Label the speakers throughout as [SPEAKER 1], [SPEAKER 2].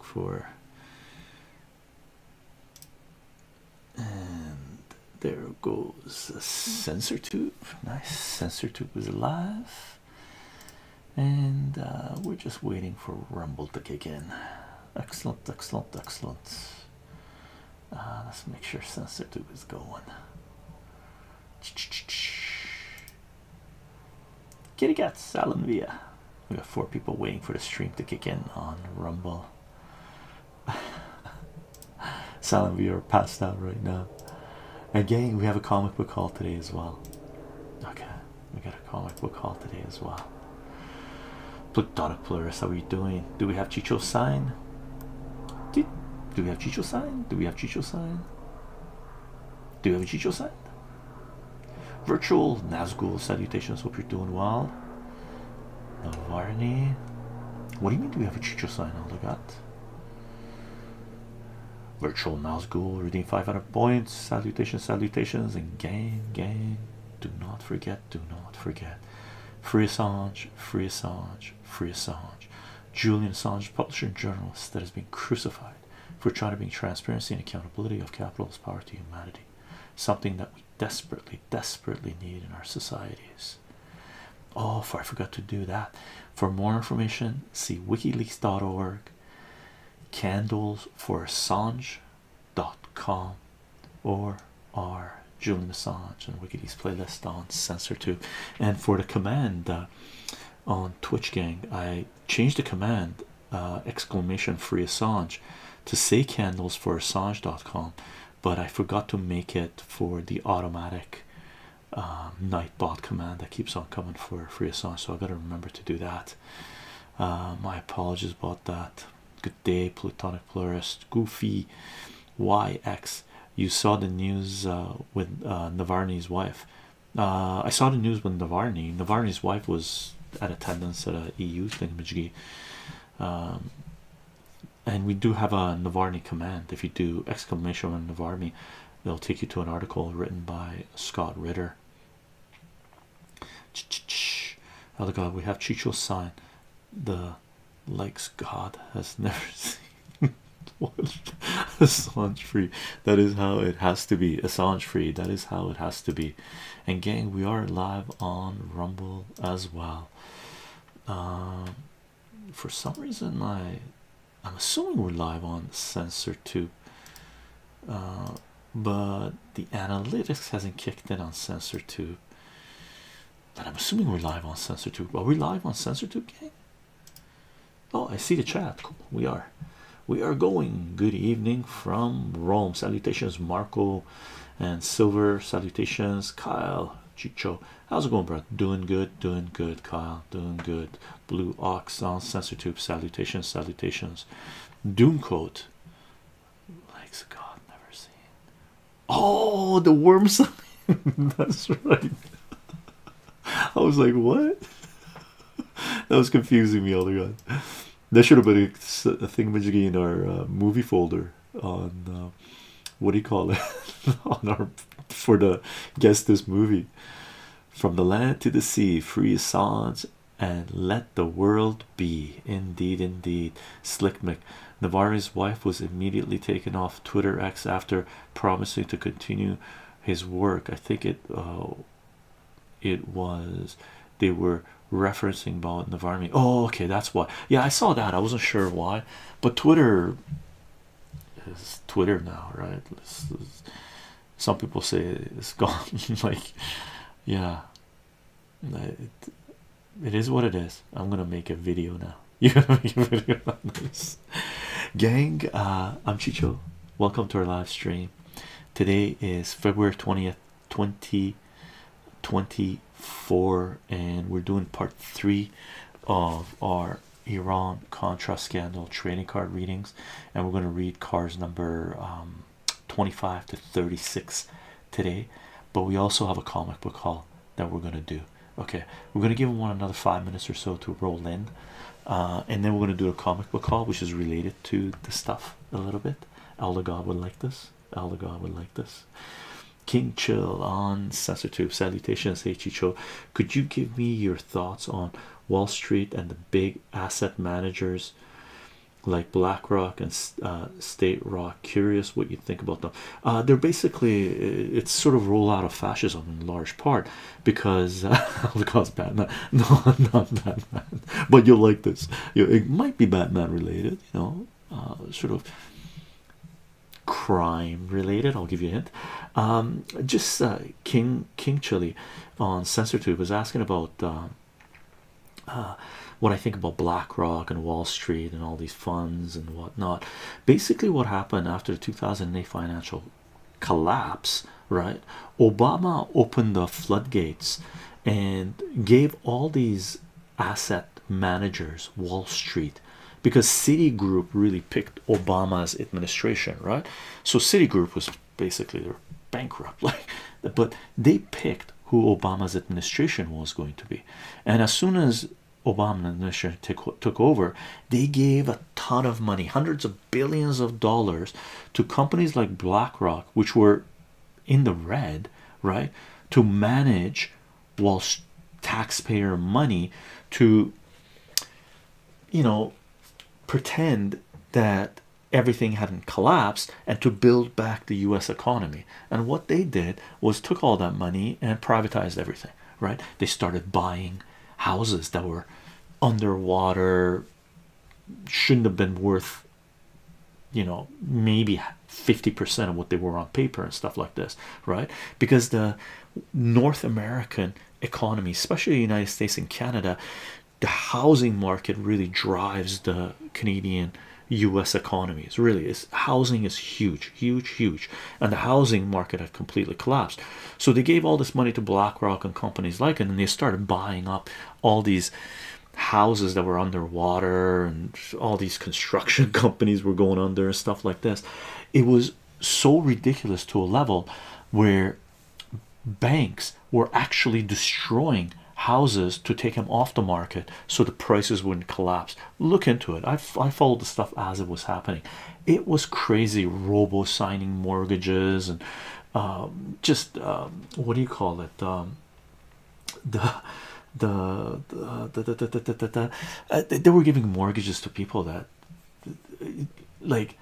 [SPEAKER 1] for and there goes the sensor tube nice sensor tube is alive and uh, we're just waiting for rumble to kick in excellent excellent excellent uh, let's make sure sensor tube is going Kitty cats, Salon Via. We got four people waiting for the stream to kick in on Rumble. Salon Via are passed out right now. Again, we have a comic book call today as well. Okay, we got a comic book call today as well. Plutonic Pluris, how are we doing? Do we have Chicho sign? Do, do we have Chicho sign? Do we have Chicho sign? Do we have a Chicho sign? Virtual Nazgul salutations. Hope you're doing well. Navarni. What do you mean? Do we have a Chicho sign? All I got. Virtual Nazgul redeem 500 points. Salutations, salutations, and gang, gang. Do not forget. Do not forget. Free Assange. Free Assange. Free Assange. Julian Assange, publisher and journalist that has been crucified for trying to bring transparency and accountability of capitalist power to humanity something that we desperately, desperately need in our societies. Oh, for I forgot to do that. For more information, see wikileaks.org, candlesforassange.com, or our Julian Assange and WikiLeaks playlist on SensorTube. And for the command uh, on Twitch Gang, I change the command uh, exclamation free Assange to say candles for Assange.com, but I forgot to make it for the automatic uh, um, Nightbot command that keeps on coming for free Assange. So I have gotta remember to do that. Uh, my apologies about that. Good day, Plutonic Plurist, Goofy YX. You saw the news uh, with uh, wife. I saw the news with Navarny. Navarny's wife was at attendance at the EU thingamajiggy. Um, and we do have a Navarni command. If you do exclamation on Navarni, they'll take you to an article written by Scott Ritter. Oh -ch uh, God, we have Chicho sign the likes God has never seen. Assange free. That is how it has to be. Assange free. That is how it has to be and gang we are live on rumble as well um, for some reason my i'm assuming we're live on sensor too uh, but the analytics hasn't kicked in on sensor tube But i'm assuming we're live on sensor tube are we live on sensor tube gang? oh i see the chat we are we are going good evening from Rome salutations Marco and Silver salutations Kyle Chicho how's it going bro doing good doing good Kyle doing good blue ox sound sensor tube salutations salutations doom coat likes God never seen oh the worm that's right I was like what that was confusing me all the time there should have been a thingamajiggy in our uh, movie folder on uh, what do you call it on our for the guess this movie from the land to the sea, free Assange and let the world be. Indeed, indeed, slickmick Mick. Navarre's wife was immediately taken off Twitter X after promising to continue his work. I think it uh, it was they were referencing about Navarre. Oh, okay, that's why. Yeah, I saw that. I wasn't sure why, but Twitter is Twitter now, right? some people say it's gone. like, yeah, it is what it is. I'm gonna make a video now. You're gonna make a video on this, gang. Uh, I'm Chicho. Welcome to our live stream. Today is February 20th, 2024 and we're doing part three of our Iran Contra scandal trading card readings and we're going to read cards number um, 25 to 36 today but we also have a comic book haul that we're going to do okay we're going to give one another five minutes or so to roll in uh, and then we're going to do a comic book haul which is related to the stuff a little bit. Aldegar would like this. Aldegar would like this. King Chill on SensorTube. Salutations, Heichicho. Could you give me your thoughts on Wall Street and the big asset managers like BlackRock and uh, State Rock? Curious what you think about them. Uh, they're basically uh, it's sort of roll out of fascism in large part because uh, because bad. No, not bad. but you'll like this. it might be Batman related, you know, uh, sort of crime related. I'll give you a hint. Um, just uh, King King Chili on CensorTube was asking about uh, what I think about BlackRock and Wall Street and all these funds and whatnot. Basically, what happened after the 2008 financial collapse, right? Obama opened the floodgates and gave all these asset managers Wall Street because Citigroup really picked Obama's administration, right? So Citigroup was basically bankrupt, like, but they picked who Obama's administration was going to be, and as soon as Obama administration took, took over, they gave a ton of money, hundreds of billions of dollars, to companies like BlackRock, which were in the red, right? To manage whilst taxpayer money to you know pretend that everything hadn't collapsed and to build back the US economy. And what they did was took all that money and privatized everything, right? They started buying houses that were underwater, shouldn't have been worth you know maybe 50% of what they were on paper and stuff like this right because the north american economy especially the united states and canada the housing market really drives the canadian us economies really is housing is huge huge huge and the housing market had completely collapsed so they gave all this money to blackrock and companies like it and they started buying up all these houses that were underwater and all these construction companies were going under and stuff like this. It was so ridiculous to a level where banks were actually destroying houses to take them off the market so the prices wouldn't collapse. Look into it. I, I followed the stuff as it was happening. It was crazy robo signing mortgages and um, just um, what do you call it? Um, the the the, the, the, the, uh, they were giving mortgages to people that like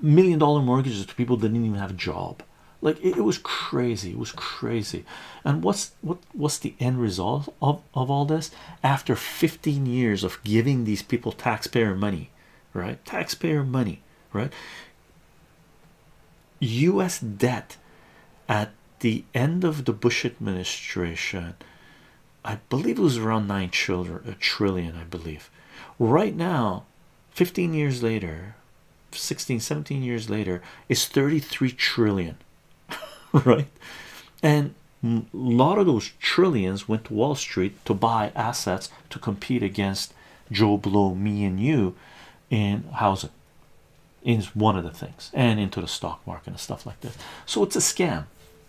[SPEAKER 1] million dollar mortgages to people that didn't even have a job like it, it was crazy it was crazy and what's what what's the end result of of all this after 15 years of giving these people taxpayer money right taxpayer money right US debt at the end of the Bush administration, I believe it was around nine children a trillion, I believe right now 15 years later 16 17 years later is 33 trillion right and a lot of those trillions went to Wall Street to buy assets to compete against Joe Blow me and you in housing is one of the things and into the stock market and stuff like this so it's a scam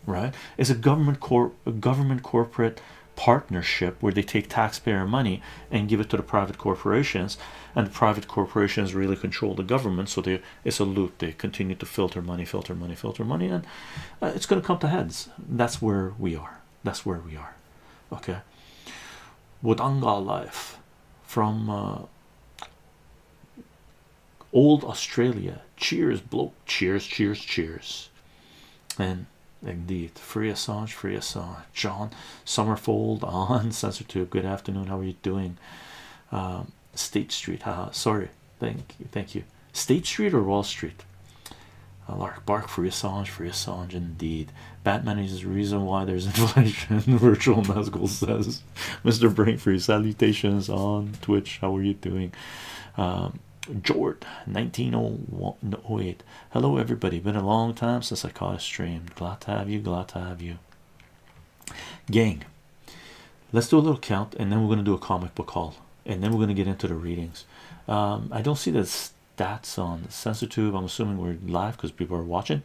[SPEAKER 1] right it's a government corp government corporate partnership where they take taxpayer money and give it to the private corporations and the private corporations really control the government so they it's a loot. they continue to filter money filter money filter money and uh, it's going to come to heads that's where we are that's where we are okay What Wodonga life from uh, old Australia. Cheers, bloke! Cheers, cheers, cheers! And indeed, free Assange, free Assange. John Summerfold on sensor Censortube. Good afternoon. How are you doing? Um, State Street. Haha. Sorry. Thank you. Thank you. State Street or Wall Street? Uh, Lark bark free Assange, free Assange. Indeed. Batman is the reason why there's inflation. Virtual Nazgul says, Mr. Brainfree, salutations on Twitch. How are you doing? Um, Jord 1908. Hello, everybody. Been a long time since I caught a stream. Glad to have you. Glad to have you. Gang, let's do a little count and then we're going to do a comic book haul and then we're going to get into the readings. Um, I don't see this that's on the sensor tube. I'm assuming we're live because people are watching.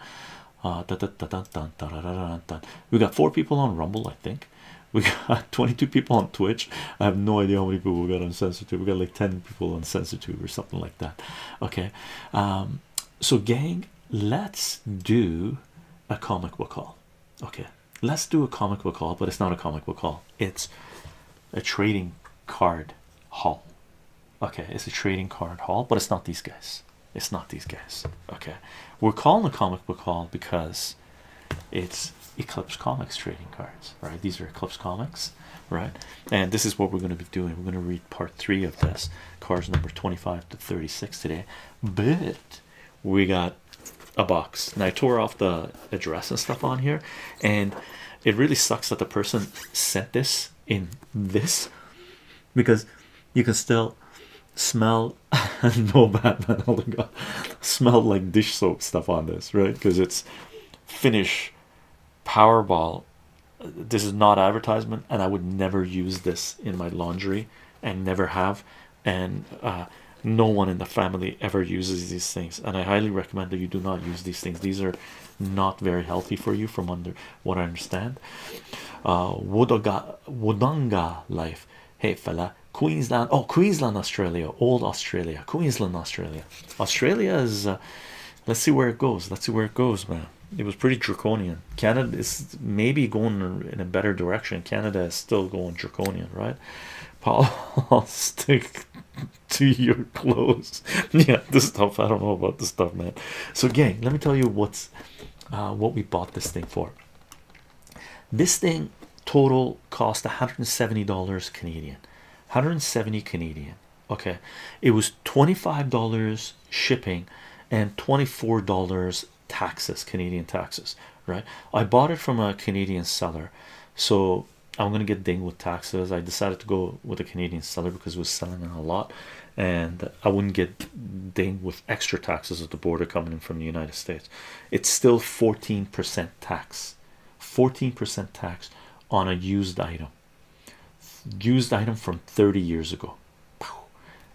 [SPEAKER 1] We got four people on Rumble, I think. We got 22 people on Twitch. I have no idea how many people we got on Sensor Tube. We got like 10 people on Sensor Tube or something like that. Okay, um, so gang, let's do a comic book call. Okay, let's do a comic book call, but it's not a comic book call. It's a trading card haul okay it's a trading card haul but it's not these guys it's not these guys okay we're calling a comic book haul because it's eclipse comics trading cards right these are eclipse comics right and this is what we're going to be doing we're going to read part three of this cards number 25 to 36 today but we got a box and i tore off the address and stuff on here and it really sucks that the person sent this in this because you can still smell no Batman. Oh my god, smell like dish soap stuff on this, right? Because it's Finnish Powerball. This is not advertisement, and I would never use this in my laundry and never have. And uh, no one in the family ever uses these things, and I highly recommend that you do not use these things. These are not very healthy for you from under what I understand. Uh, Wodonga life. Hey fella, Queensland. Oh, Queensland, Australia. Old Australia. Queensland, Australia. Australia is. Uh, let's see where it goes. Let's see where it goes, man. It was pretty draconian. Canada is maybe going in a better direction. Canada is still going draconian, right? Paul, I'll stick to your clothes. yeah, this stuff. I don't know about this stuff, man. So, gang, let me tell you what's uh, what we bought this thing for. This thing total cost 170 Canadian, 170 Canadian. Okay, it was $25 shipping and $24 taxes, Canadian taxes. Right, I bought it from a Canadian seller, so I'm gonna get dinged with taxes. I decided to go with a Canadian seller because it was selling a lot, and I wouldn't get dinged with extra taxes at the border coming in from the United States. It's still 14% tax, 14% tax on a used item, used item from 30 years ago.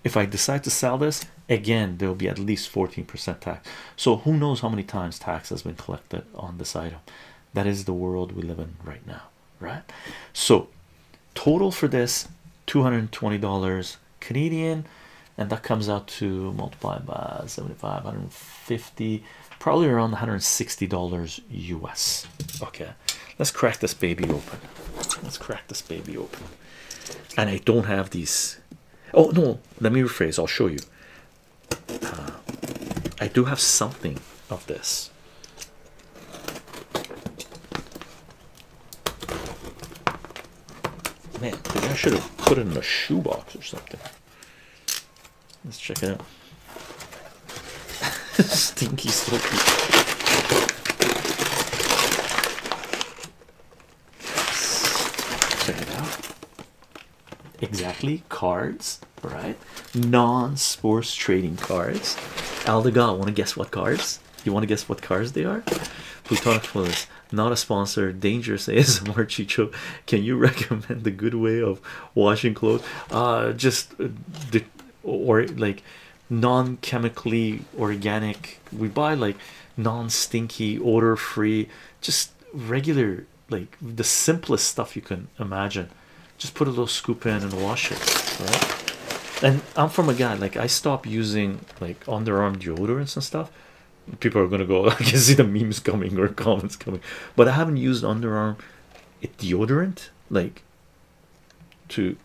[SPEAKER 1] If I decide to sell this again, there'll be at least 14% tax. So who knows how many times tax has been collected on this item? That is the world we live in right now right? So, total for this $220 Canadian, and that comes out to multiply by 75, 150, probably around $160 US. Okay, let's crack this baby open. Let's crack this baby open. And I don't have these. Oh, no, let me rephrase, I'll show you. Uh, I do have something of this Man, I should have put it in a shoebox or something. Let's check it out. Stinky stinky. Check it out. Exactly, cards, right? non-sports trading cards. Aldegal, want to guess what cards? You want to guess what cards they are? Plutarchus, not a sponsor. Dangerous ASMR Chicho. Can you recommend the good way of washing clothes? Uh, just uh, the or like non-chemically organic. We buy like non-stinky, odor-free, just regular, like the simplest stuff you can imagine just put a little scoop in and wash it and i'm from a guy like i stop using like underarm deodorants and stuff people are gonna go i can see the memes coming or comments coming but i haven't used underarm deodorant like to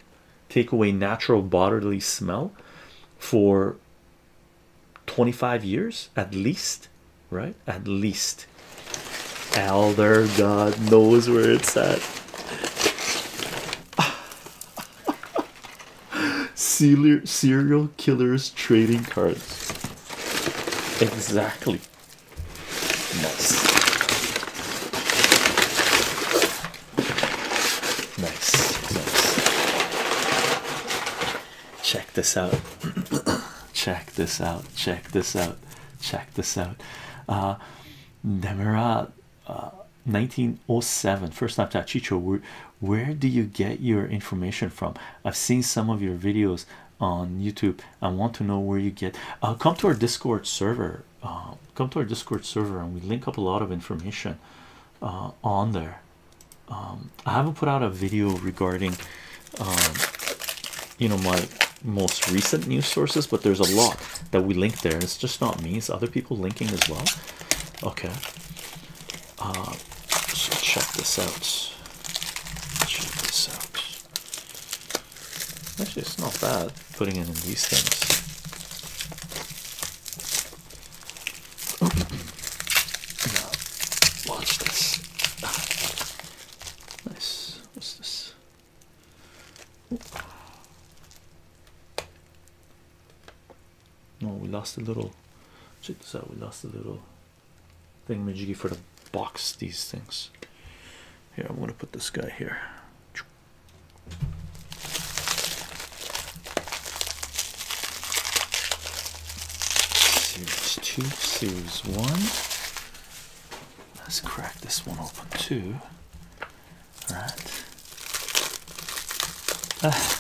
[SPEAKER 1] take away natural bodily smell for 25 years at least right at least elder god knows where it's at Serial serial killers trading cards. Exactly. Nice. Nice. Check this out. Check this out. Check this out. Check this out. Uh 1907 uh, first time Tachicho Chicho. where do you get your information from I've seen some of your videos on YouTube I want to know where you get uh, come to our discord server um, come to our discord server and we link up a lot of information uh, on there um, I haven't put out a video regarding um, you know my most recent news sources, but there's a lot that we link there. It's just not me, it's other people linking as well. Okay. Uh, so check this out. Check this out. Actually, it's not bad putting it in these things. now, watch this. Nice. What's this? No, we lost a little. Check this out. We lost a little thing majiggy for the box. These things. Here, I'm gonna put this guy here. Series two, series one. Let's crack this one open too. All right. Ah.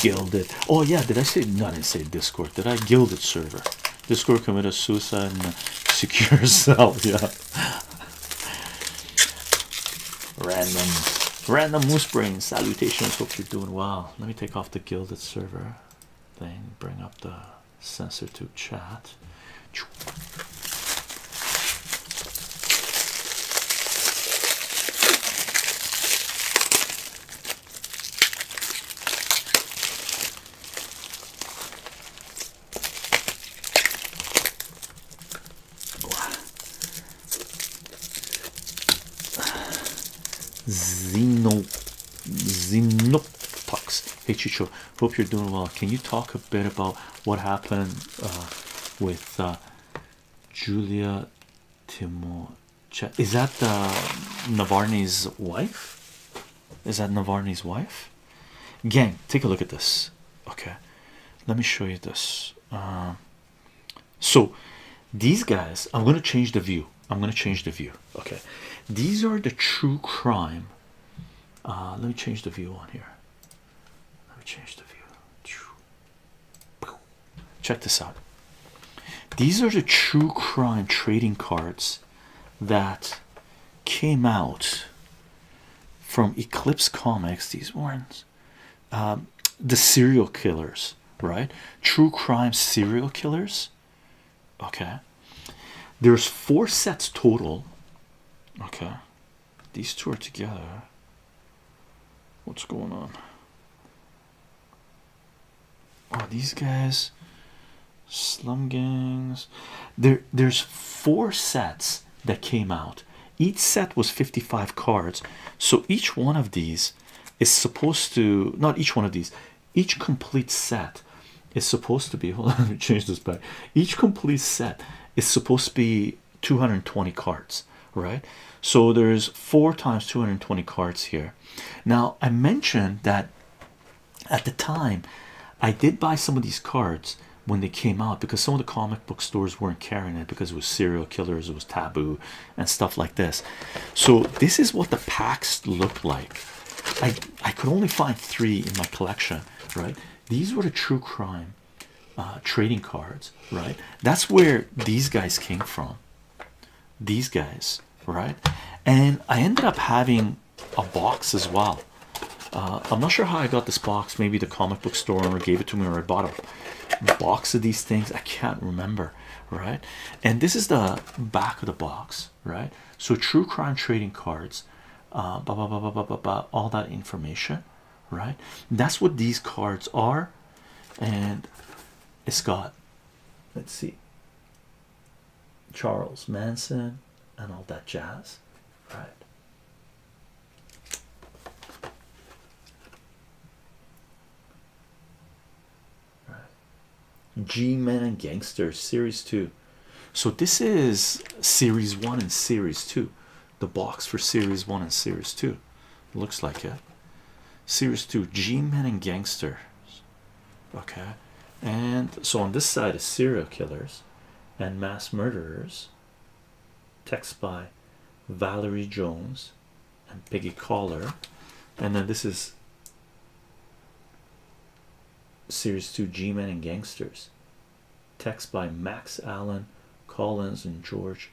[SPEAKER 1] gilded. Oh yeah, did I say no? I say Discord. Did I gilded server? Discord committed suicide and secure cell. Yeah. Random, random moose brain salutations. Hope you're doing well. Let me take off the gilded server thing. Bring up the sensor to chat. Xeno Xenotox HHO Hope you're doing well. Can you talk a bit about what happened uh, with uh, Julia Timochenko? Is that uh, Navarni's wife? Is that Navarni's wife? Gang, take a look at this. Okay, let me show you this. so these guys, I'm going to change the view. I'm going to change the view. Okay, these are the true crime. let me change the view on here. Let me change the view. Check this out. These are the true crime trading cards that came out from Eclipse Comics. These ones, um, the serial killers, right? True crime serial killers. Okay, there's four sets total. Okay, these two are together. What's going on? Oh, these guys, slum gangs. There, there's four sets that came out. Each set was 55 cards, so each one of these is supposed to not each one of these. Each complete set it's supposed to be hold on let me change this back each complete set is supposed to be 220 cards right so there's four times 220 cards here now i mentioned that at the time i did buy some of these cards when they came out because some of the comic book stores weren't carrying it because it was serial killers it was taboo and stuff like this so this is what the packs looked like i i could only find three in my collection right these were the true crime uh, trading cards, right? That's where these guys came from, these guys, right? And I ended up having a box as well. Uh, I'm not sure how I got this box, maybe the comic book store owner gave it to me, or I bought a box of these things. I can't remember, right? And this is the back of the box, right? So, true crime trading cards uh, blah, blah, blah, blah, blah, blah, all that information, right? That's what these cards are, and it's got let's see Charles Manson and all that jazz, right? Right, G Men and Gangsters Series 2. So this is series one and series two. The box for series one and series two looks like it. Series two G Men and Gangsters. Okay, and so on this side is serial killers and mass murderers. Text by Valerie Jones and Peggy Collar, and then this is series two G Men and Gangsters text by Max Allen, Collins, and George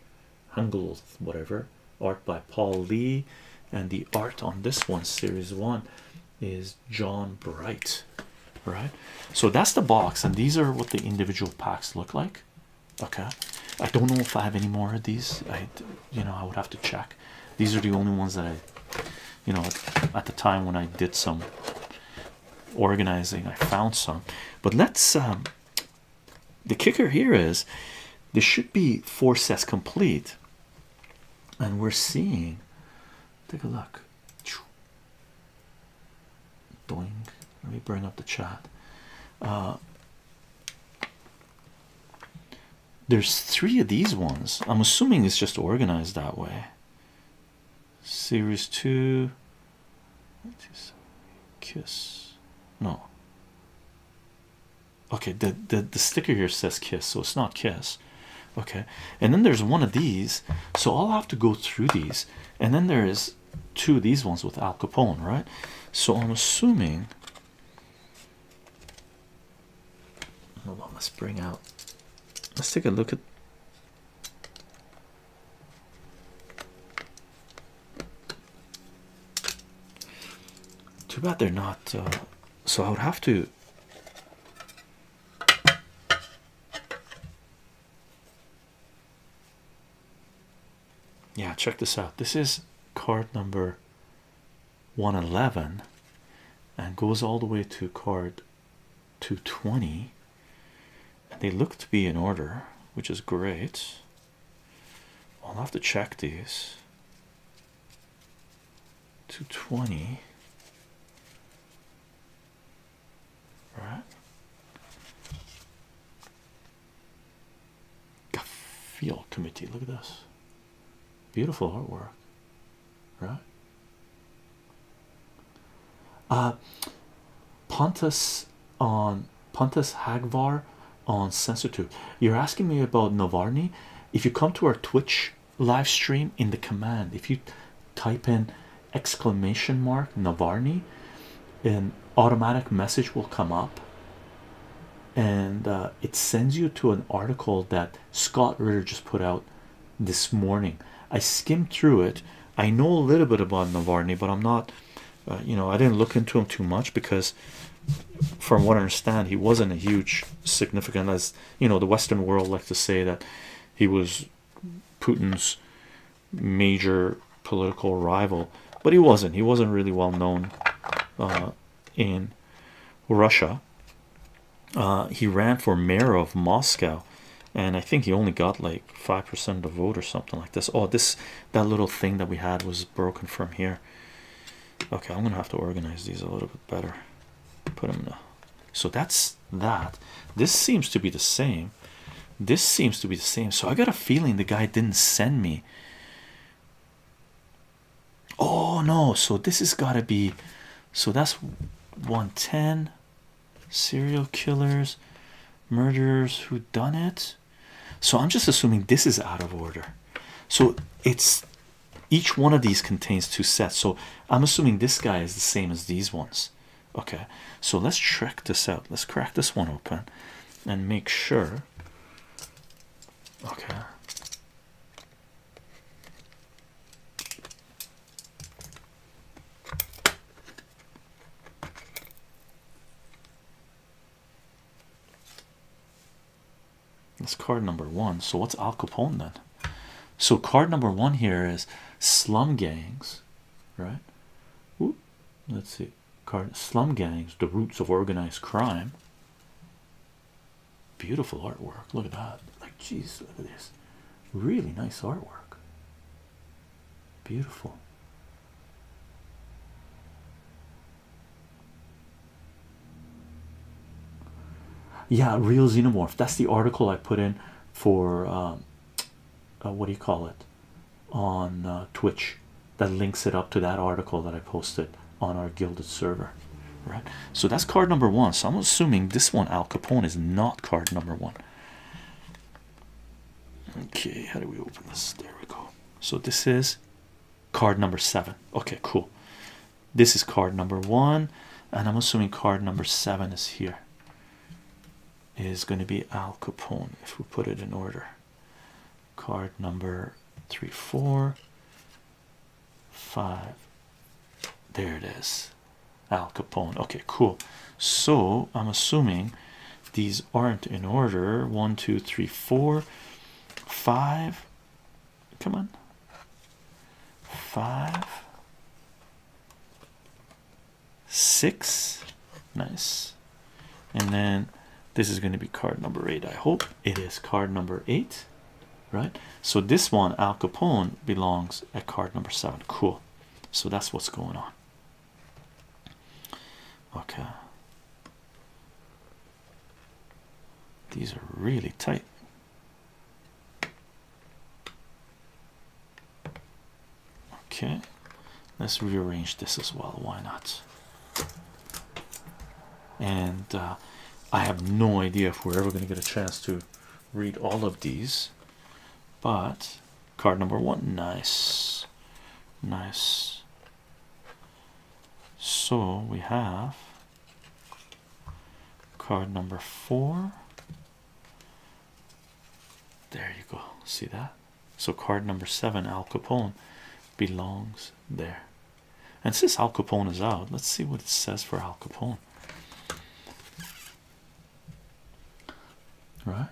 [SPEAKER 1] Hungold, whatever. Art by Paul Lee, and the art on this one, series one, is John Bright. All right, so that's the box, and these are what the individual packs look like. Okay, I don't know if I have any more of these. I, you know, I would have to check. These are the only ones that I, you know, at the time when I did some organizing I found some but let's um the kicker here is this should be four sets complete and we're seeing take a look doing let me bring up the chat uh there's three of these ones I'm assuming it's just organized that way series 2 kiss no okay the, the the sticker here says kiss so it's not kiss okay and then there's one of these so i'll have to go through these and then there is two of these ones with al capone right so i'm assuming hold let's bring out let's take a look at too bad they're not. Uh, so I would have to. Yeah, check this out. This is card number 111 and goes all the way to card 220 they look to be in order which is great i'll have to check these 220 right Gaffield committee look at this beautiful artwork right uh, Pontus on Pontus Hagvar on Sensor You're asking me about Novarni. If you come to our Twitch live stream in the command, if you type in exclamation mark Novarni, an automatic message will come up and uh, it sends you to an article that Scott Ritter just put out this morning. I skimmed through it I know a little bit about Navarni, but I'm not, uh, you know, I didn't look into him too much because, from what I understand, he wasn't a huge significant, as you know, the Western world likes to say that he was Putin's major political rival, but he wasn't. He wasn't really well known uh, in Russia. Uh, he ran for mayor of Moscow and I think he only got like five percent of the vote or something like this. Oh, this that little thing that we had was broken from here. Okay, I'm gonna have to organize these a little bit better. Put them so that's that. This seems to be the same. This seems to be the same. So I got a feeling the guy didn't send me. Oh no! So this has got to be. So that's 110 serial killers, murderers who done it. So I'm just assuming this is out of order. So it's each one of these contains two sets. So I'm assuming this guy is the same as these ones. Okay, so let's check this out. Let's crack this one open and make sure. Okay. That's card number one. So what's Al Capone then? So card number one here is slum gangs, right? let's see. Card slum gangs, the roots of organized crime. Beautiful artwork. Look at that. Like, jeez, look at this. Really nice artwork. Beautiful. Yeah, real xenomorph. That's the article I put in for um, uh, what do you call it on uh, Twitch that links it up to that article that I posted on our gilded server, right? So that's card number one. So I'm assuming this one, Al Capone, is not card number one. Okay, how do we open this? There we go. So this is card number seven. Okay, cool. This is card number one, and I'm assuming card number seven is here. Is going to be Al Capone if we put it in order. Card number three, four, five. There it is. Al Capone. Okay, cool. So I'm assuming these aren't in order. One, two, three, four, five. Come on. Five, six. Nice. And then this is going to be card number eight. I hope it is card number eight, right? So this one, Al Capone, belongs at card number seven. Cool. So that's what's going on. Okay. These are really tight. Okay, let's rearrange this as well. Why not? And uh, I have no idea if we're ever going to get a chance to read all of these. But card number one, nice, nice. So we have card number four. There you go. See that? So card number seven, Al Capone, belongs there. And since Al Capone is out, let's see what it says for Al Capone right?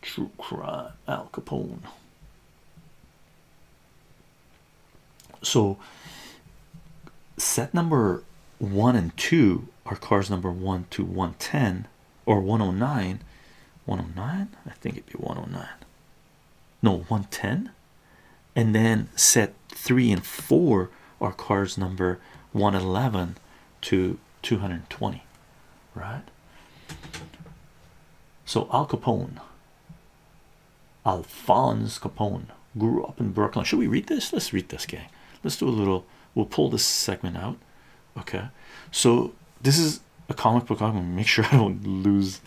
[SPEAKER 1] True crime, Al Capone. So, set number one and two are cars number one to 110 or 109. 109, I think it'd be 109, no, 110, and then set three and four are cards number 111 to 220, right? So Al Capone, Alphonse Capone, grew up in Brooklyn. Should we read this? Let's read this, gang. Let's do a little. We'll pull this segment out. Okay. So this is a comic book. I'm gonna make sure I don't lose.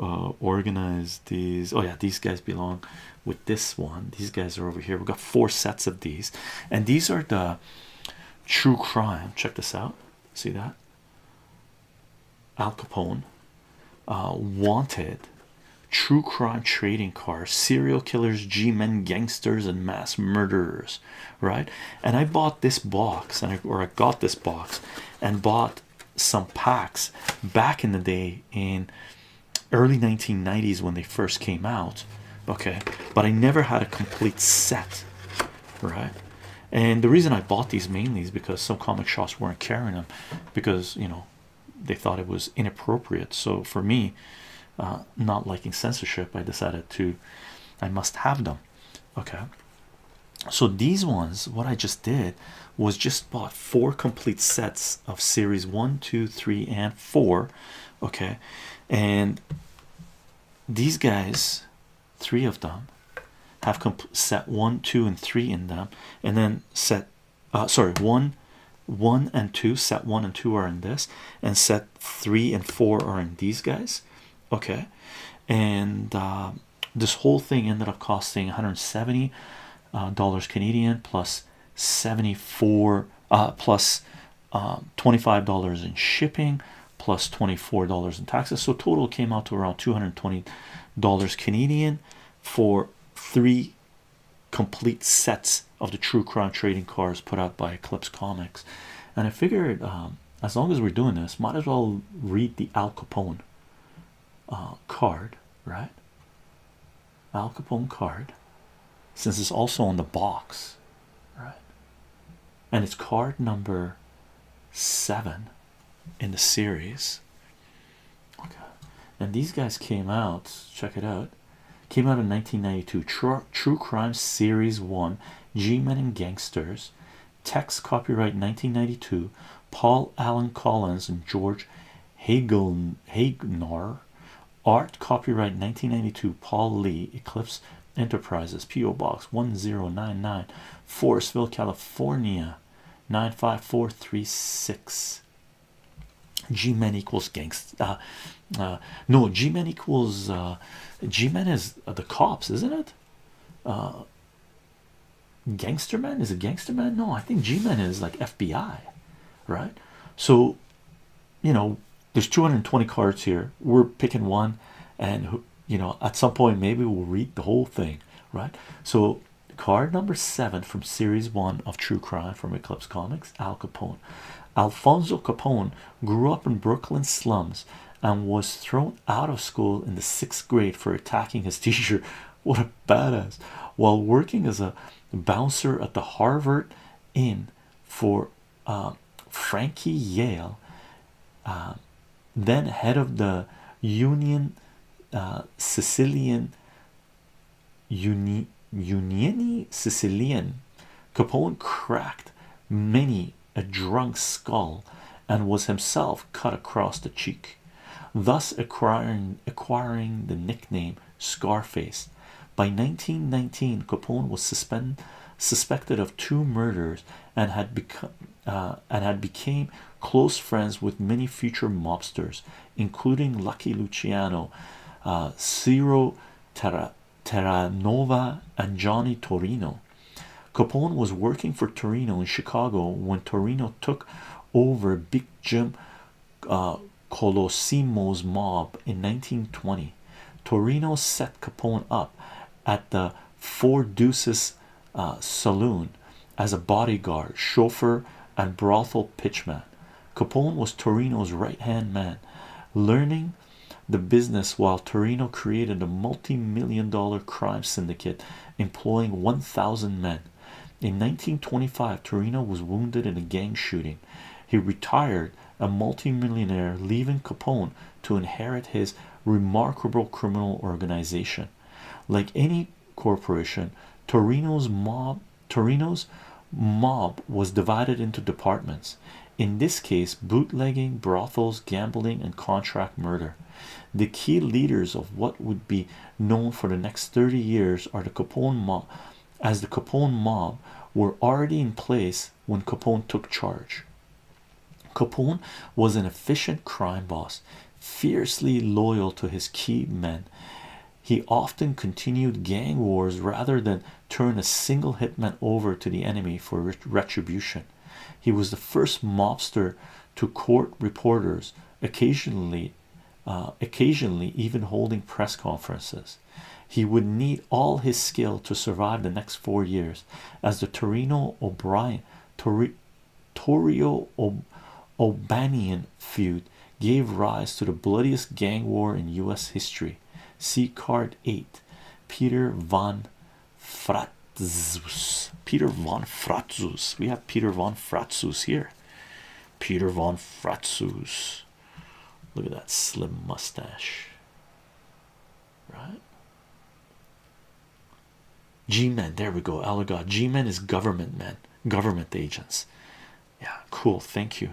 [SPEAKER 1] Uh, organize these. Oh yeah, these guys belong with this one these guys are over here we've got four sets of these and these are the true crime check this out see that Al Capone uh, wanted true crime trading cards. serial killers G-men gangsters and mass murderers right and I bought this box and or I got this box and bought some packs back in the day in early 1990s when they first came out okay but i never had a complete set right and the reason i bought these mainly is because some comic shops weren't carrying them because you know they thought it was inappropriate so for me uh, not liking censorship i decided to i must have them okay so these ones what i just did was just bought four complete sets of series one two three and four okay and these guys three of them have set one two and three in them and then set uh, sorry one one and two set one and two are in this and set three and four are in these guys okay and uh, this whole thing ended up costing 170 uh, dollars Canadian plus 74 uh, plus um, 25 dollars in shipping plus 24 dollars in taxes so total came out to around 220 dollars Canadian for three complete sets of the true crime trading cards put out by Eclipse Comics and I figured um, as long as we're doing this might as well read the Al Capone uh, card right Al Capone card since it's also on the box, right? And it's card number seven in the series. Okay, and these guys came out, check it out, came out in 1992. True, True Crime Series 1 G Men and Gangsters, text copyright 1992. Paul Allen Collins and George Hagel Hagnar art copyright 1992 Paul Lee Eclipse Enterprises PO Box 1099 Forestville California 95436 G-men equals gangster uh, uh, no G-men equals uh, G-men is the cops isn't it gangster man is a gangster man no I think G-men is like FBI right so you know there's 220 cards here we're picking one and you know at some point maybe we'll read the whole thing right so card number seven from series one of true crime from eclipse comics al capone alfonso capone grew up in brooklyn slums and was thrown out of school in the sixth grade for attacking his teacher what a badass while working as a bouncer at the harvard in for um, Frankie Yale, uh, then head of the Union uh, Sicilian Uni Unioni Sicilian. Capone cracked many a drunk skull and was himself cut across the cheek, thus acquiring acquiring the nickname Scarface. By 1919, Capone was suspend, suspected of two murders and had become uh, and had became close friends with many future mobsters, including Lucky Luciano, uh, Ciro Terra, Terranova, and Johnny Torino. Capone was working for Torino in Chicago when Torino took over Big Jim uh, Colosimo's mob in 1920. Torino set Capone up at the Four Deuces uh, saloon as a bodyguard, chauffeur, and brothel pitchman. Capone was Torino's right hand man, learning the business while Torino created a multi million dollar crime syndicate employing 1,000 men. In 1925, Torino was wounded in a gang shooting he retired a multi-millionaire, leaving Capone to inherit his remarkable criminal organization. Like any corporation, Torino's mob Torino's mob was divided into departments. In this case, bootlegging, brothels, gambling, and contract murder. The key leaders of what would be known for the next 30 years are the Capone mob as the Capone mob were already in place when Capone took charge. Capone was an efficient crime boss, fiercely loyal to his key men. He often continued gang wars rather than turn a single hitman over to the enemy for retribution. He was the first mobster to court reporters, occasionally, uh, occasionally even holding press conferences. He would need all his skill to survive the next four years as the Torino O'Brien Tori, Torrio O'Banian feud gave rise to the bloodiest gang war in US history. See card 8. Peter von Fratzus. Peter von Fratzus. We have Peter von Fratzus here. Peter von Fratzus. Look at that slim mustache, right? G men, there we go. Allegod G men is government men, government agents. Yeah, cool. Thank you.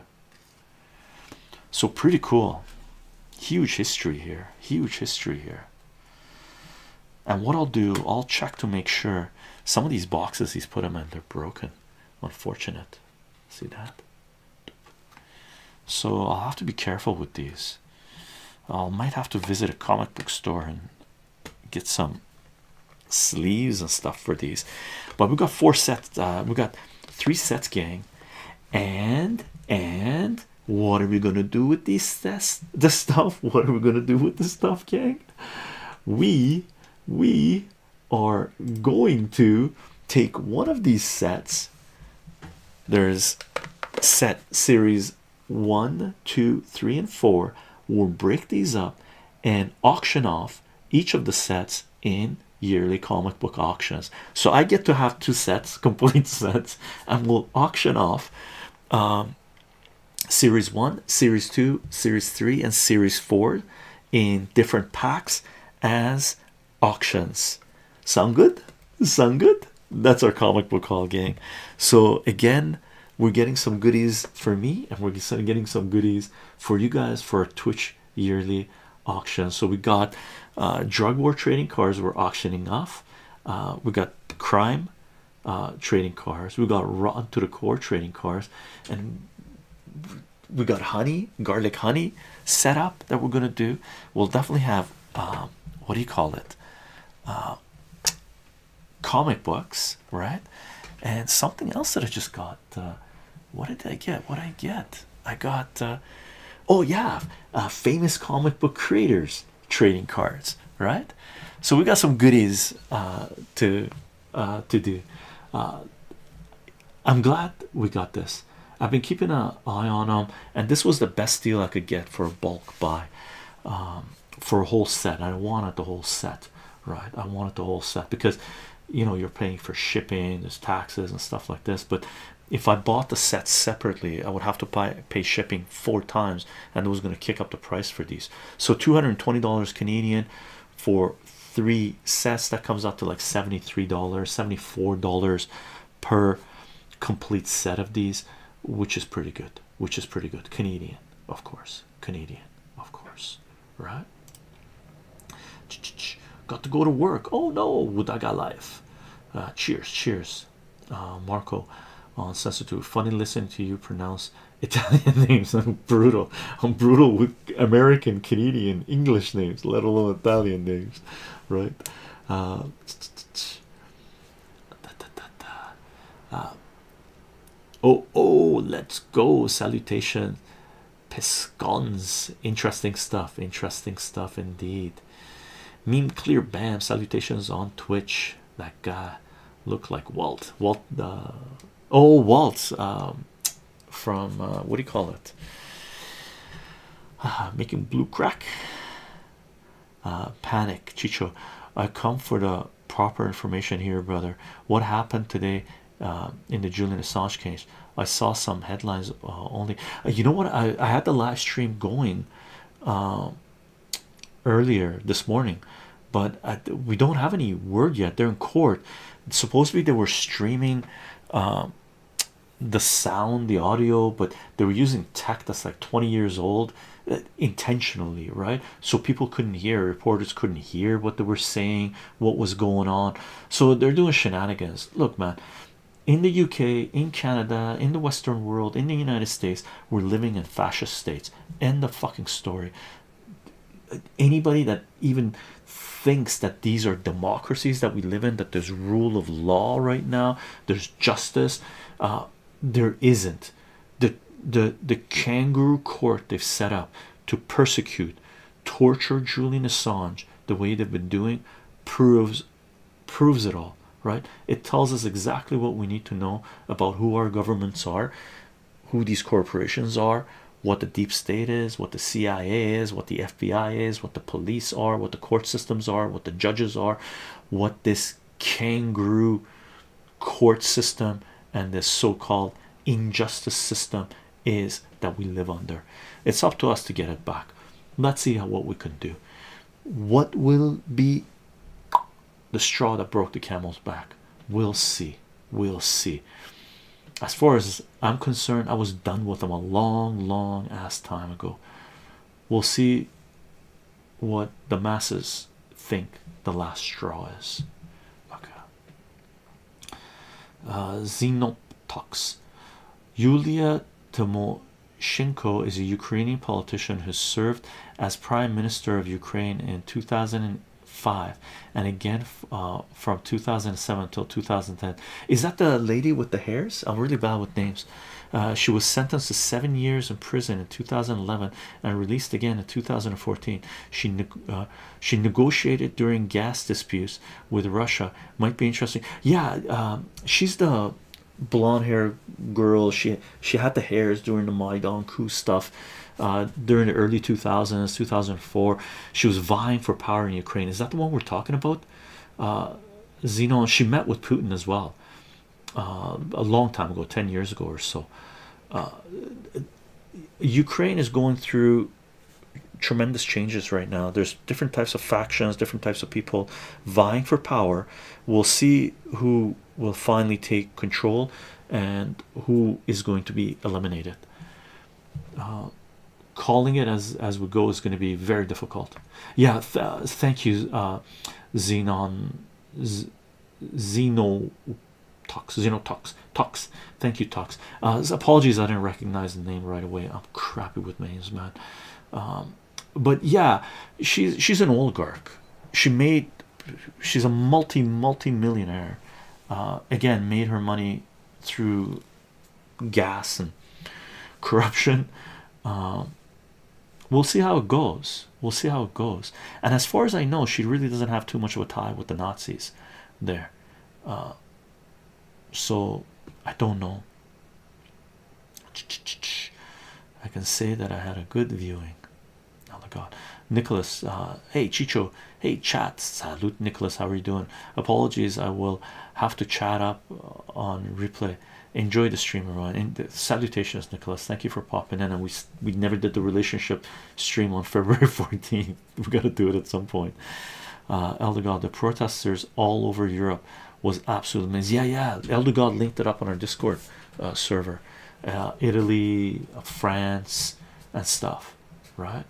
[SPEAKER 1] So, pretty cool. Huge history here, huge history here. And what I'll do, I'll check to make sure some of these boxes he's put them in, they're broken. Unfortunate. See that? So I'll have to be careful with these. I might have to visit a comic book store and get some sleeves and stuff for these. But we have got four sets. Uh, We've got three sets, gang. And and what are we gonna do with these tests? The stuff. What are we gonna do with the stuff, gang? We we are going to take one of these sets. There's set series one, two, three, and four. We'll break these up and auction off each of the sets in yearly comic book auctions. So I get to have two sets, complete sets, and we'll auction off um, series one, series two, series three, and series four in different packs as auctions. Sound good? Sound good? That's our comic book hall gang. So, again, we're getting some goodies for me, and we're getting some goodies for you guys for our Twitch yearly auction. So, we got uh, drug war trading cars. we're auctioning off, uh, we got crime uh, trading cars. we got rotten to the core trading cars, and we got honey, garlic honey set up that we're gonna do. We'll definitely have um, what do you call it? Um, comic books, right? And something else that I just got. Uh, what did I get? What did I get? I got. Uh, oh yeah, uh, famous comic book creators trading cards, right? So we got some goodies to uh, to do. Uh, I'm glad we got this. I've been keeping an eye on them, and this was the best deal I could get for a bulk buy um, for a whole set. I wanted the whole set, right? I wanted the whole set because you know you're paying for shipping, there's taxes and stuff like this. But if I bought the sets separately, I would have to pay, shipping four times, and it was going to kick up the price for these. So $220 Canadian for three sets that comes out to like $73 $74 per complete set of these which is pretty good which is pretty good Canadian of course Canadian of course right got to go to work oh no would I got life uh, cheers cheers uh, Marco on set sensitive funny listening to you pronounce Italian names I'm brutal I'm brutal American, Canadian, English names, let alone Italian names, right? Uh, uh, oh, oh, let's go! Salutation, Pescons. Interesting stuff. Interesting stuff indeed. Meme clear bam. Salutations on Twitch. That guy look like Walt. Walt. Uh, oh, Walt. Um, from uh, what do you call it? Ah, making blue crack. Uh, panic, Chicho. I come for the proper information here, brother. What happened today uh, in the Julian Assange case? I saw some headlines only. you know what? I, I had the live stream going earlier this morning, but we don't have any word yet. They're in court. Supposedly, they were streaming the sound the audio but they were using tech that's like 20 years old uh, intentionally right so people couldn't hear reporters couldn't hear what they were saying what was going on so they're doing shenanigans look man in the uk in canada in the western world in the united states we're living in fascist states end the fucking story anybody that even thinks that these are democracies that we live in, that there's rule of law right now, there's justice. Uh, there isn't. The the the kangaroo court they've set up to persecute, torture Julian Assange the way they've been doing proves proves it all right it tells us exactly what we need to know about who our governments are who these corporations are what the deep state is, what the CIA is, what the FBI is, what the police are, what the court systems are, what the judges are, what this kangaroo court system and this so-called injustice system is that we live under. It's up to us to get it back. Let's see what we can do. What will be the straw that broke the camel's back? We'll see. We'll see. As far as I'm concerned, I was done with them a long, long ass time ago. We'll see what the masses think the last straw is. Okay. Uh, Xenotox Yulia Tymoshenko is a Ukrainian politician who served as Prime Minister of Ukraine in 2005 and again uh, uh, from 2007 till 2010. Is that the lady with the hairs? I'm really bad with names. Uh, she was sentenced to seven years in prison in 2011 and released again in 2014. She uh, she negotiated during gas disputes with Russia. Might be interesting. Yeah, um, she's the blonde hair girl. She she had the hairs during the Maidan coup stuff during the early 2000s, 2004 she was vying for power in Ukraine is that the one we're talking about uh she met with Putin as well uh, a long time ago 10 years ago or so uh, Ukraine is going through tremendous changes right now there's different types of factions different types of people vying for power we'll see who will finally take control and who is going to be eliminated uh, calling it as as we go is going to be very difficult. Yeah, thank you, uh, Xenon, Z Xeno, Tox, Xenotox, Tox. Thank you, Tox. Uh, apologies, I didn't recognize the name right away. I'm crappy with names, man. Um, but yeah, she's she's an oligarch. She made she's a multi multi millionaire. again, made her money through gas and corruption. Um, we'll see how it goes. We'll see how it goes. And as far as I know, she really doesn't have too much of a tie with the Nazis there. Uh, so I don't know. I can say that I had a good viewing. Oh my god, Nicholas. Uh, hey, Chicho. Hey, chat. Salute, Nicholas. How are you doing? Apologies. I will have to chat up uh, on replay enjoy the streamer on the salutations nicholas thank you for popping in and we we never did the relationship stream on february 14th we got to do it at some point uh elder the protesters all over europe was absolutely amazing yeah yeah elder linked it up on our discord uh, server uh, italy france and stuff right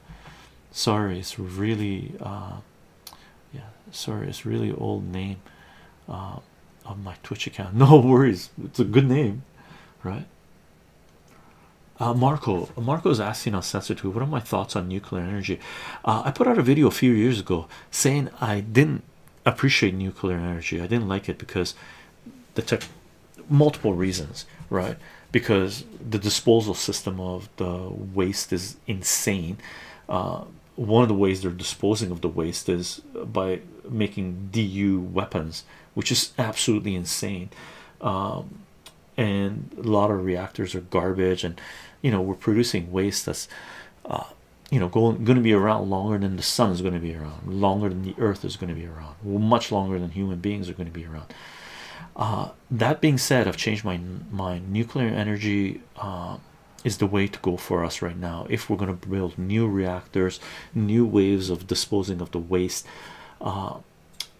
[SPEAKER 1] sorry it's really yeah sorry it's really old name uh, of my twitch account no worries it's a good name right uh, marco marco's asking on sensor 2 what are my thoughts on nuclear energy uh, i put out a video a few years ago saying i didn't appreciate nuclear energy i didn't like it because the multiple reasons right because the disposal system of the waste is insane. Uh, one of the ways they're disposing of the waste is by making DU weapons, which is absolutely insane. Um, and a lot of reactors are garbage, and you know, we're producing waste that's uh, you know going, going to be around longer than the sun is going to be around, longer than the earth is going to be around, much longer than human beings are going to be around. Uh, uh, that being said, I've changed my mind. Nuclear energy um, is the way to go for us right now. If we're going to build new reactors, new waves of disposing of the waste, uh,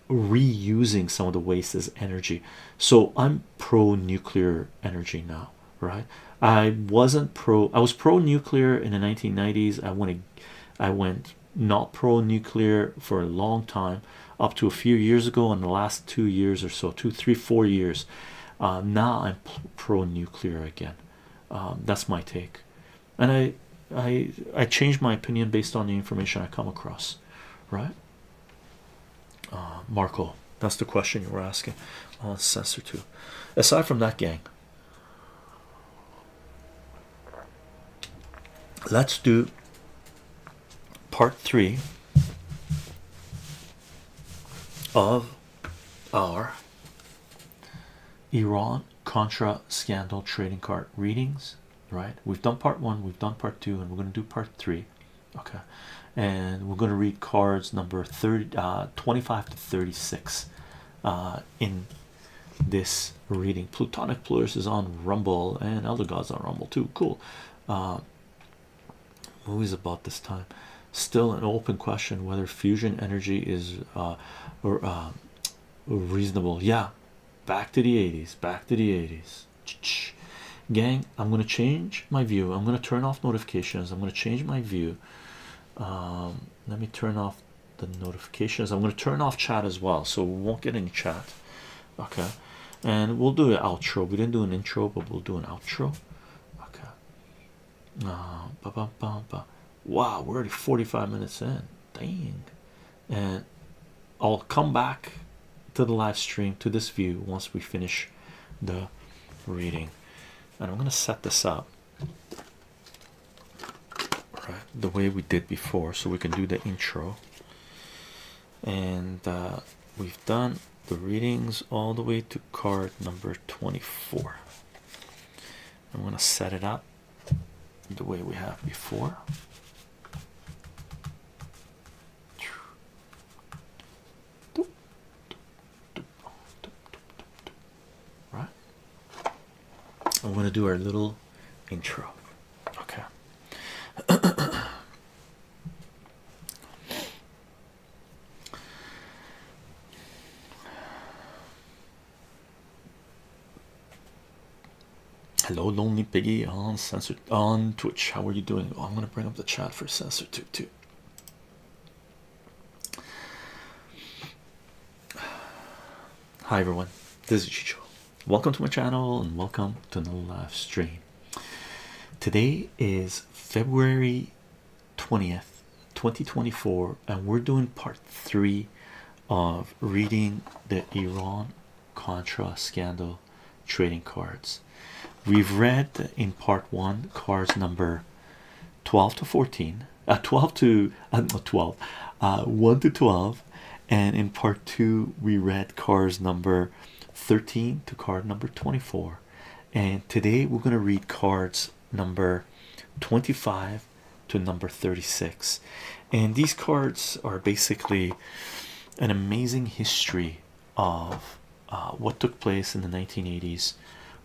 [SPEAKER 1] reusing some of the waste as energy. So I'm pro nuclear energy now, right? I wasn't pro. I was pro nuclear in the 1990s. I went. I went not pro nuclear for a long time up to a few years ago in the last two years or so two three four years uh, now i'm pro-nuclear again um, that's my take and i i i change my opinion based on the information i come across right uh, marco that's the question you were asking uh, on 2 aside from that gang let's do part three of our Iran Contra scandal trading card readings. Right, we've done part one, we've done part two, and we're going to do part three. Okay, and we're going to read cards number uh, 25 to 36 uh, in this reading. Plutonic Plurus is on Rumble, and Elder Gods on Rumble too. Cool. Uh, movies about this time still an open question whether fusion energy is uh, uh, reasonable yeah back to the 80s back to the 80s Ch gang i'm going to change my view i'm going to turn off notifications i'm going to change my view um, let me turn off the notifications i'm going to turn off chat as well so we won't get any chat okay and we'll do an outro we didn't do an intro but we'll do an outro okay uh, ba -ba -ba -ba. wow we're already 45 minutes in dang and I'll come back to the live stream to this view once we finish the reading and I'm gonna set this up the way we did before so we can do the intro and uh, we've done the readings all the way to card number 24. I'm going to set it up the way we have before. Right, I'm going to do our little intro. Okay. Hello, lonely piggy on censored on Twitch. How are you doing? I'm gonna bring up the chat for censor tube too. Hi everyone, this is Chicho. Welcome to my channel and welcome to another live stream. Today is February 20th, 2024, and we're doing part three of reading the Iran Contra scandal trading cards. We've read in part one cards number 12 to 14, uh, 12 to uh, not 12, uh, 1 to 12, and in part two, we read cards number 13 to card number 24 and today we're going to read cards number 25 to number 36 and these cards are basically an amazing history of uh, what took place in the 1980s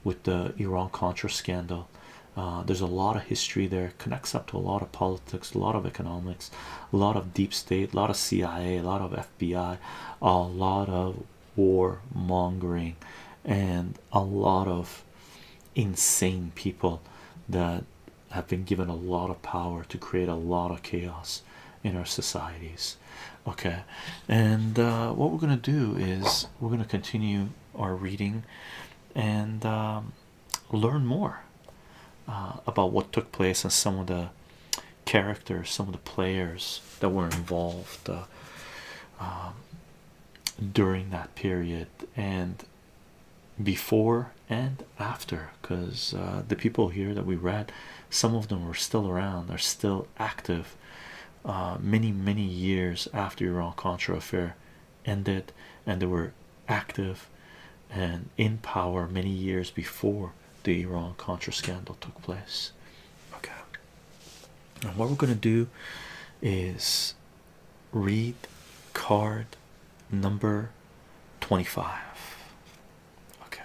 [SPEAKER 1] with the Iran Contra scandal uh, there's a lot of history there connects up to a lot of politics a lot of economics a lot of deep state a lot of CIA a lot of FBI, a lot of war mongering, and a lot of insane people that have been given a lot of power to create a lot of chaos in our societies. Okay, and uh, what we're gonna do is we're gonna continue our reading and um, learn more uh, about what took place and some of the characters, some of the players that were involved uh, um, during that period and before and after, because uh, the people here that we read, some of them were still around, are still active uh, many, many years after Iran Contra affair ended, and they were active and in power many years before the Iran Contra scandal took place. Okay, and what we're gonna do is read card number 25. Okay,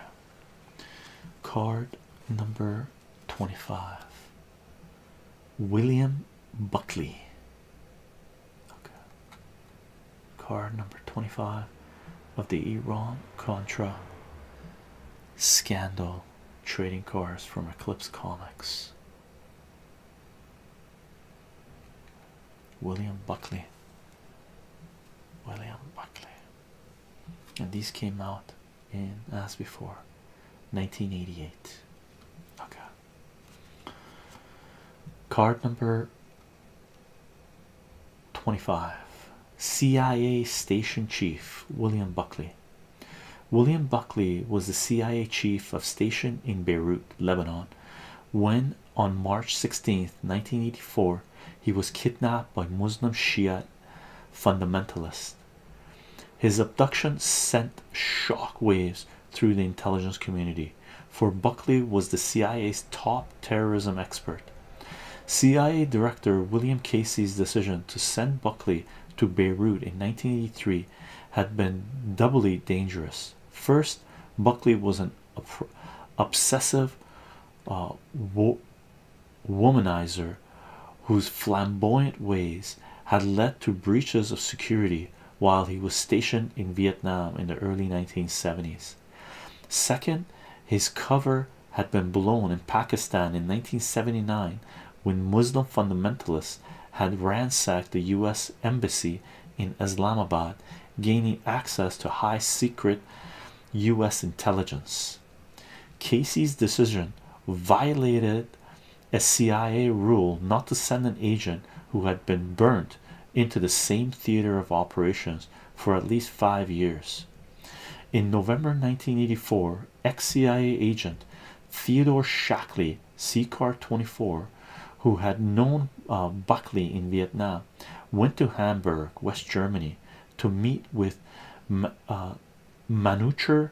[SPEAKER 1] card number 25. William Buckley. Okay. Card number 25 of the Iran Contra scandal trading cards from Eclipse Comics. William Buckley. William Buckley. And these came out in, as before, 1988. Okay. Card number 25 CIA Station Chief William Buckley. William Buckley was the CIA chief of station in Beirut, Lebanon, when on March 16, 1984, he was kidnapped by Muslim Shiite fundamentalists. His abduction sent shock waves through the intelligence community, for Buckley was the CIA's top terrorism expert. CIA Director William Casey's decision to send Buckley to Beirut in 1983 had been doubly dangerous. First, Buckley was an obsessive uh, womanizer whose flamboyant ways had led to breaches of security while he was stationed in Vietnam in the early 1970s. Second, his cover had been blown in Pakistan in 1979 when Muslim fundamentalists had ransacked the US embassy in Islamabad, gaining access to high secret US intelligence. Casey's decision violated a CIA rule not to send an agent who had been burnt into the same theater of operations for at least five years. In November 1984, ex CIA agent Theodore Shackley, CCAR 24, who had known uh, Buckley in Vietnam, went to Hamburg, West Germany, to meet with uh, Manucher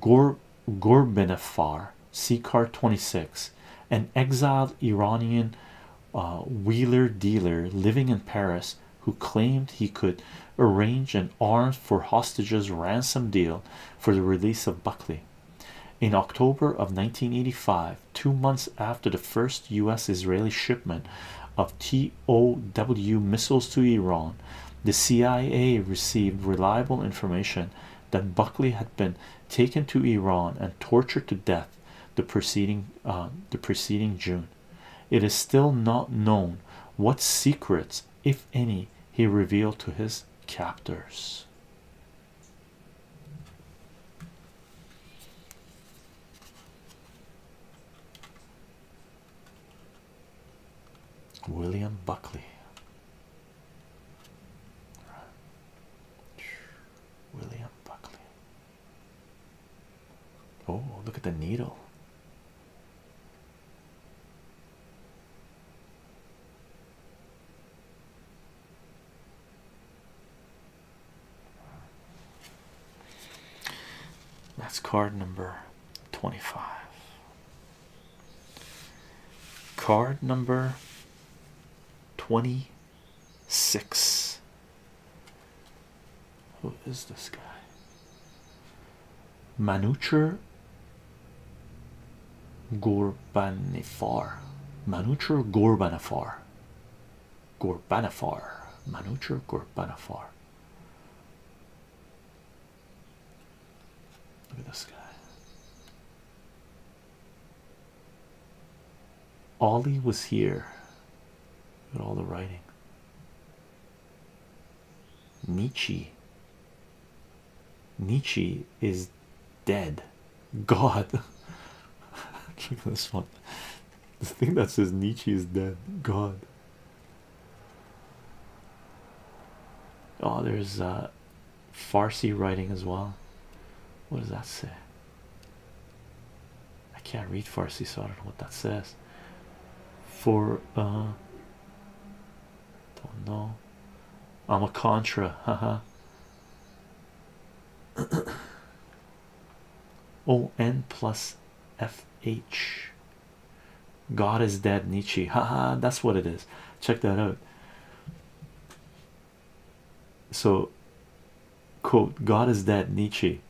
[SPEAKER 1] Gor Gorbenefar, CCAR 26, an exiled Iranian a wheeler dealer living in Paris who claimed he could arrange an arms for hostages ransom deal for the release of Buckley. In October of 1985, two months after the first U.S. Israeli shipment of TOW missiles to Iran, the CIA received reliable information that Buckley had been taken to Iran and tortured to death the preceding uh, the preceding June. It is still not known what secrets, if any, he revealed to his captors. William Buckley. William Buckley. Oh, look at the needle. That's card number 25. Card number 26. Who is this guy? Manucher Gorbanifar. Manucher Gorbanifar. Gorbanifar. Manucher Gorbanifar. Look at this guy. Ollie was here. Look at all the writing. Nietzsche. Nietzsche is dead. God. Check this one. The thing that says Nietzsche is dead. God. Oh, there's uh, Farsi writing as well. What does that say? I can't read Farsi, so I don't know what that says. For uh, don't know. I'm a contra, haha. O N plus F H. God is dead, Nietzsche. Haha, that's what it is. Check that out. So quote god is dead nietzsche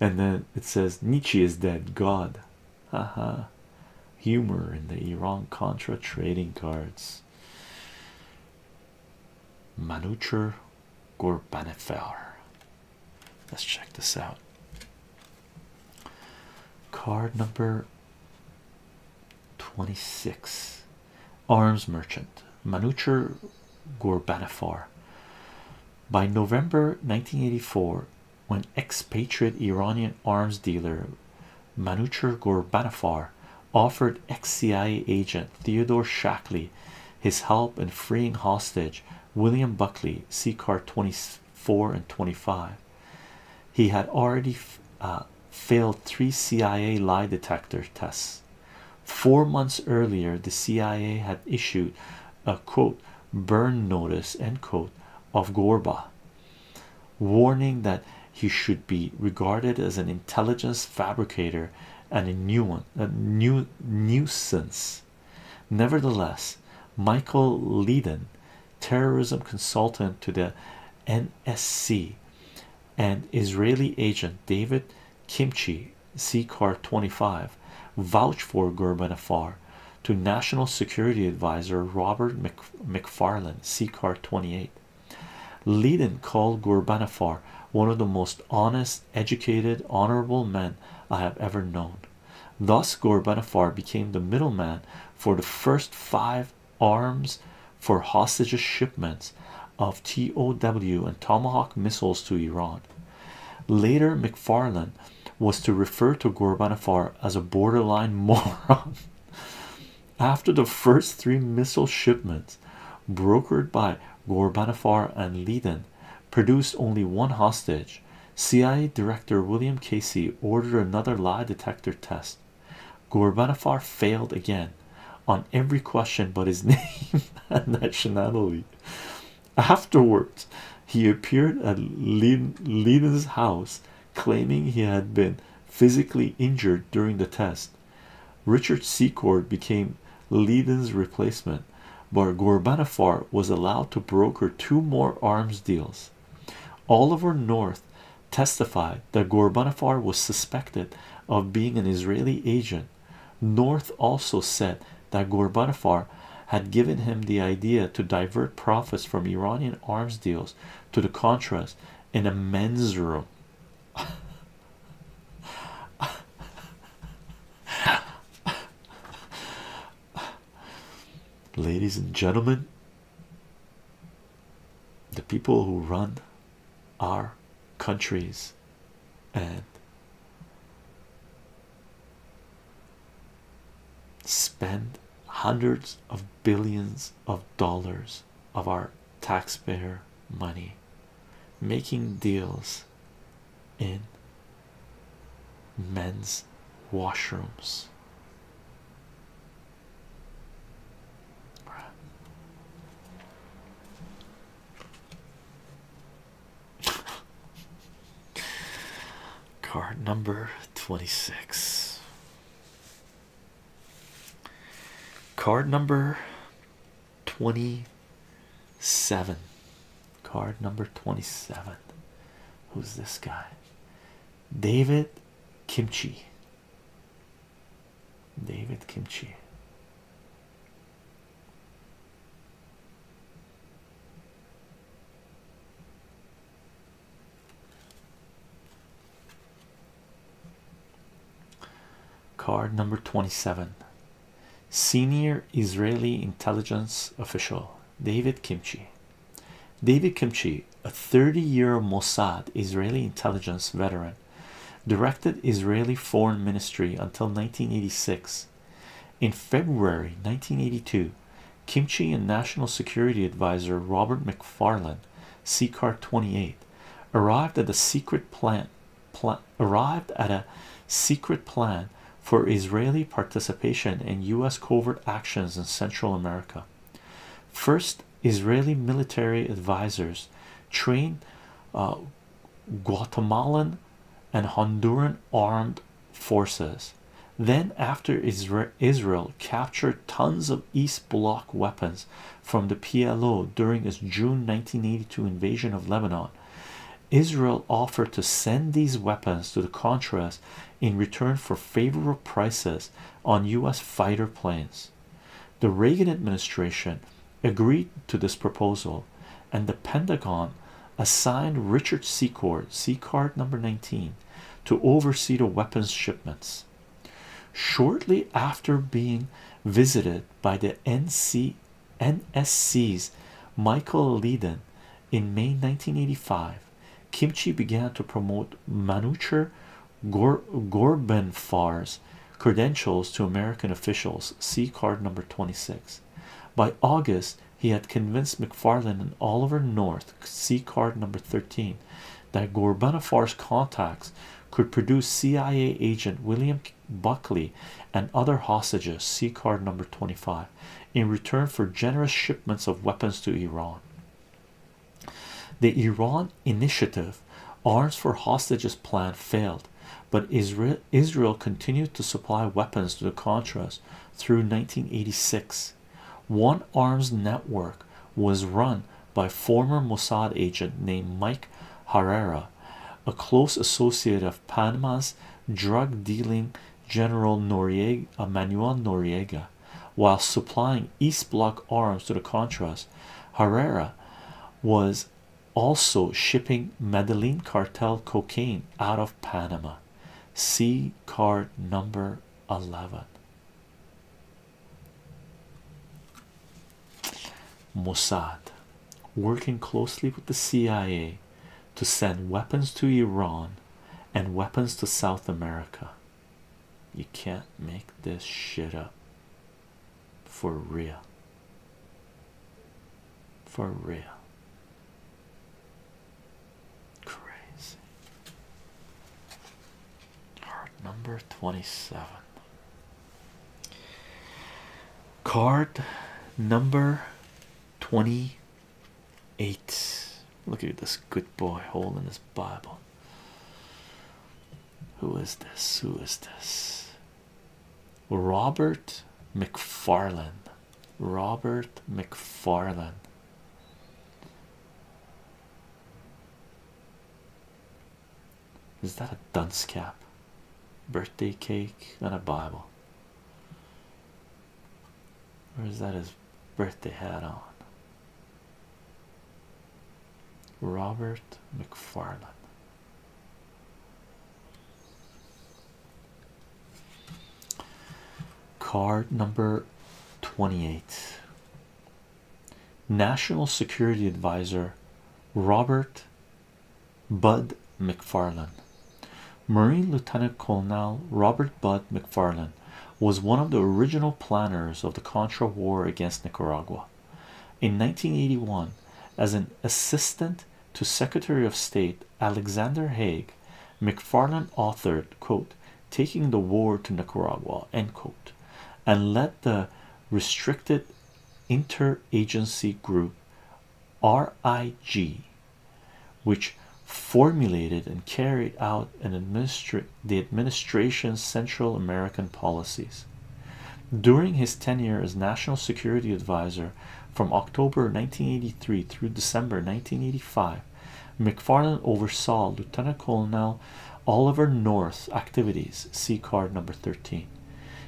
[SPEAKER 1] and then it says nietzsche is dead god Ha ha! humor in the iran contra trading cards manucher gorbanifar let's check this out card number 26 arms merchant manucher gorbanifar by November 1984, when expatriate Iranian arms dealer Manucher Ghorbanifar offered ex-CIA agent Theodore Shackley his help in freeing hostage William Buckley, c 24 and 25. He had already uh, failed three CIA lie detector tests. Four months earlier, the CIA had issued a quote burn notice end quote of Gorba warning that he should be regarded as an intelligence fabricator and a new one a new nuisance nevertheless Michael Leiden terrorism consultant to the NSC and Israeli agent David Kimchi C 25 vouch for Gerben to National Security Advisor Robert McFarlane C 28 Leadin called Gerben one of the most honest, educated, honorable men I have ever known. Thus Gerben became the middleman for the first five arms for hostages shipments of TOW and Tomahawk missiles to Iran Later, McFarlane was to refer to Gorbanifar as a borderline moron. After the first three missile shipments brokered by Gorbanifar and Leiden produced only one hostage, CIA Director William Casey ordered another lie detector test. Gorbanifar failed again on every question but his name and nationality. Afterwards, he appeared at Leiden's house claiming he had been physically injured during the test. Richard Secord became Leiden's replacement, but Gorbanifar was allowed to broker two more arms deals. Oliver North testified that Gorbanifar was suspected of being an Israeli agent North also said that Gorbachev had given him the idea to divert profits from Iranian arms deals to the Contras in a men's room. Ladies and gentlemen, the people who run our countries and spend hundreds of billions of dollars of our taxpayer money making deals in men's washrooms Card number 26. Card number 27. Card number 27. Who's this guy? David Kimchi. David Kimchi. Card number 27 Senior Israeli intelligence official David Kimchi. David Kimchi, a 30-year Mossad Israeli intelligence veteran, directed Israeli Foreign Ministry until 1986 in February 1982, Kimchi and National Security Advisor Robert McFarland, CCAR 28, arrived at a secret plan, arrived at a secret plan for Israeli participation in U.S. covert actions in Central America. First, Israeli military advisors trained uh, Guatemalan and Honduran armed forces. Then, after Israel captured tons of East Bloc weapons from the PLO during its June 1982 invasion of Lebanon, Israel offered to send these weapons to the Contras in return for favorable prices on U.S. fighter planes. The Reagan administration agreed to this proposal and the Pentagon assigned Richard Secord, C number 19, to oversee the weapons shipments. Shortly after being visited by the NC NSC's Michael Leiden in May 1985, Kimchi began to promote Manucher Gor credentials to American officials, see card number 26. By August, he had convinced McFarland and Oliver North, (see card number 13, that Gorbanafar's contacts could produce CIA agent William Buckley and other hostages, (see card number 25, in return for generous shipments of weapons to Iran. The Iran Initiative Arms for Hostages plan failed, but Israel Israel continued to supply weapons to the Contras through 1986. One arms network was run by former Mossad agent named Mike Herrera, a close associate of Panama's drug dealing General Noriega Manuel Noriega. While supplying East Bloc arms to the Contras, Herrera was also shipping Medellin cartel cocaine out of Panama see card number 11 Mossad working closely with the CIA to send weapons to Iran and weapons to South America. You can't make this shit up for real. For real. Crazy. Card number 27. Card number 28. Look at this good boy holding his Bible. Who is this? Who is this? Robert McFarlane. Robert McFarlane. Is that a dunce cap? Birthday cake and a Bible. Where is that his birthday hat on? Robert McFarlane. Card number 28 National Security Advisor Robert Bud McFarlane. Marine Lieutenant Colonel Robert Bud McFarlane was one of the original planners of the Contra War against Nicaragua. In 1981, as an assistant to Secretary of State Alexander Haig, McFarland authored quote taking the war to Nicaragua end quote and led the restricted interagency group RIG which formulated and carried out the administration's Central American policies. During his tenure as National Security Advisor, from October 1983 through December 1985, McFarland oversaw Lieutenant Colonel Oliver North's activities. See card number 13.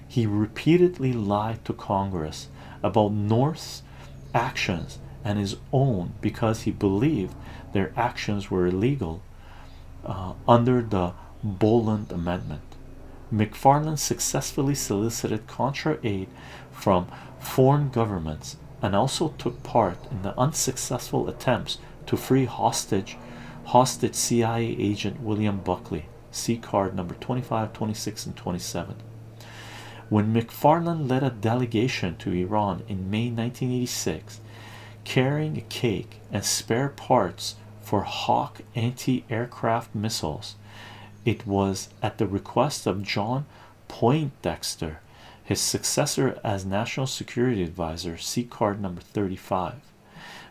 [SPEAKER 1] He repeatedly lied to Congress about North's actions and his own because he believed their actions were illegal uh, under the Boland Amendment. McFarland successfully solicited contra aid from foreign governments and also took part in the unsuccessful attempts to free hostage hostage CIA agent William Buckley see card number twenty-five, twenty-six, and 27 when McFarland led a delegation to Iran in May 1986 carrying a cake and spare parts for Hawk anti-aircraft missiles it was at the request of John Poindexter, his successor as National Security Advisor, see card number 35.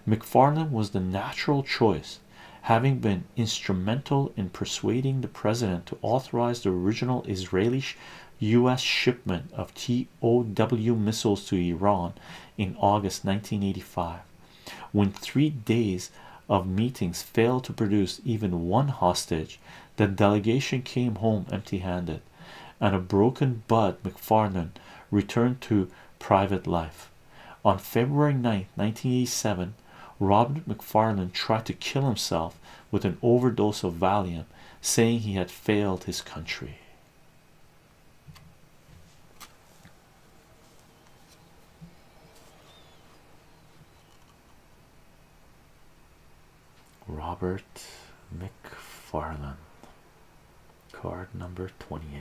[SPEAKER 1] McFarland was the natural choice, having been instrumental in persuading the president to authorize the original Israeli U.S. shipment of TOW missiles to Iran in August 1985. When three days of meetings failed to produce even one hostage, the delegation came home empty handed, and a broken Bud McFarland returned to private life. On February 9, 1987, Robert McFarland tried to kill himself with an overdose of Valium, saying he had failed his country. Robert McFarland, card number 28.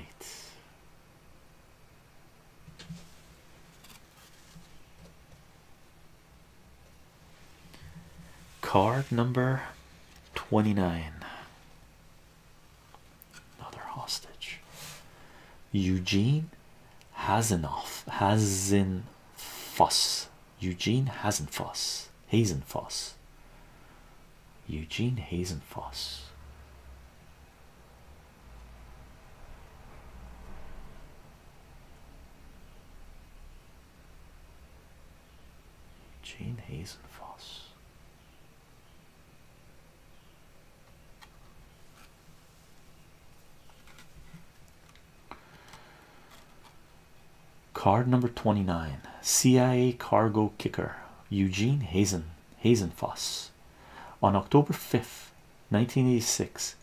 [SPEAKER 1] Card number 29. Another hostage. Eugene Has Hazin Foss Eugene hasn't fuss Hazen Foss Eugene Hazen Foss Gene Hazen Foss Card number 29 CIA cargo kicker Eugene Hazen Hazenfoss on October 5th 1986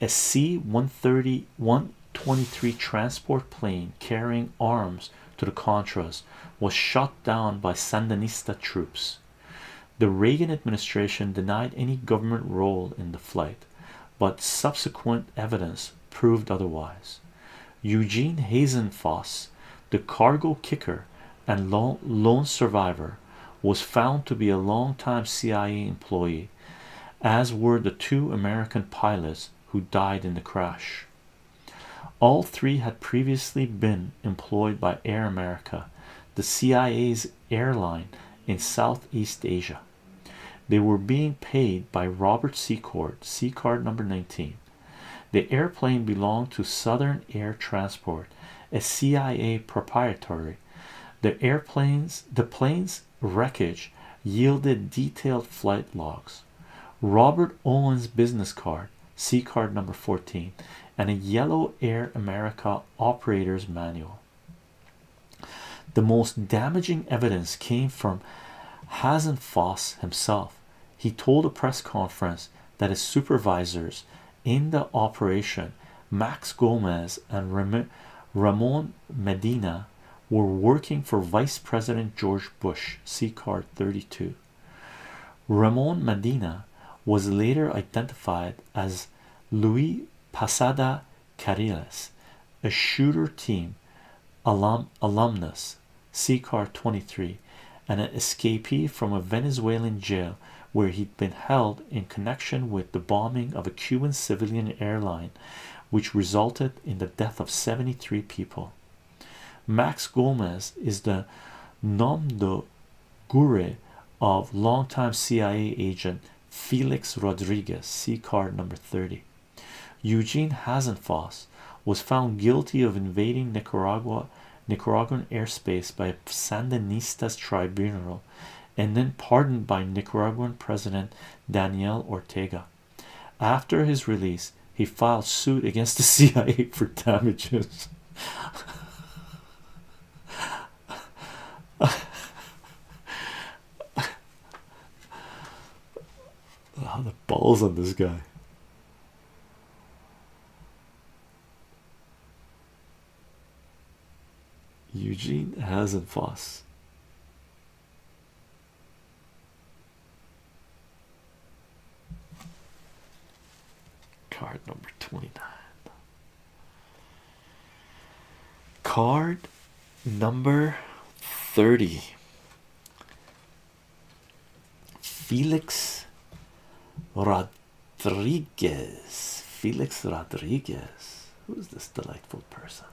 [SPEAKER 1] a C-130 123 transport plane carrying arms to the Contras was shot down by Sandinista troops the Reagan administration denied any government role in the flight but subsequent evidence proved otherwise. Eugene Hazenfoss, the cargo kicker and lone, lone survivor, was found to be a longtime CIA employee, as were the two American pilots who died in the crash. All three had previously been employed by Air America, the CIA's airline in Southeast Asia. They were being paid by Robert Secord, C card number 19. The airplane belonged to Southern Air Transport, a CIA proprietary. The airplanes, the plane's wreckage yielded detailed flight logs. Robert Olin's business card, C card number 14, and a yellow Air America operator's manual. The most damaging evidence came from Hasenfoss himself. He told a press conference that his supervisors in the operation, Max Gomez and Ramon Medina, were working for Vice President George Bush, See card 32. Ramon Medina was later identified as Louis Pasada Cariles, a shooter team alumnus, CCAR 23, and an escapee from a Venezuelan jail where he'd been held in connection with the bombing of a Cuban civilian airline, which resulted in the death of 73 people. Max Gomez is the nom de guerre of longtime CIA agent Felix Rodriguez, see card number 30. Eugene Hasenfoss was found guilty of invading Nicaragua, Nicaraguan airspace by Sandinistas tribunal and then pardoned by Nicaraguan President Daniel Ortega. After his release, he filed suit against the CIA for damages. How the balls on this guy. Eugene hasn't Hasenfoss. Card number twenty nine. Card number 30 Felix Rodriguez. Felix Rodriguez. Who's this delightful person?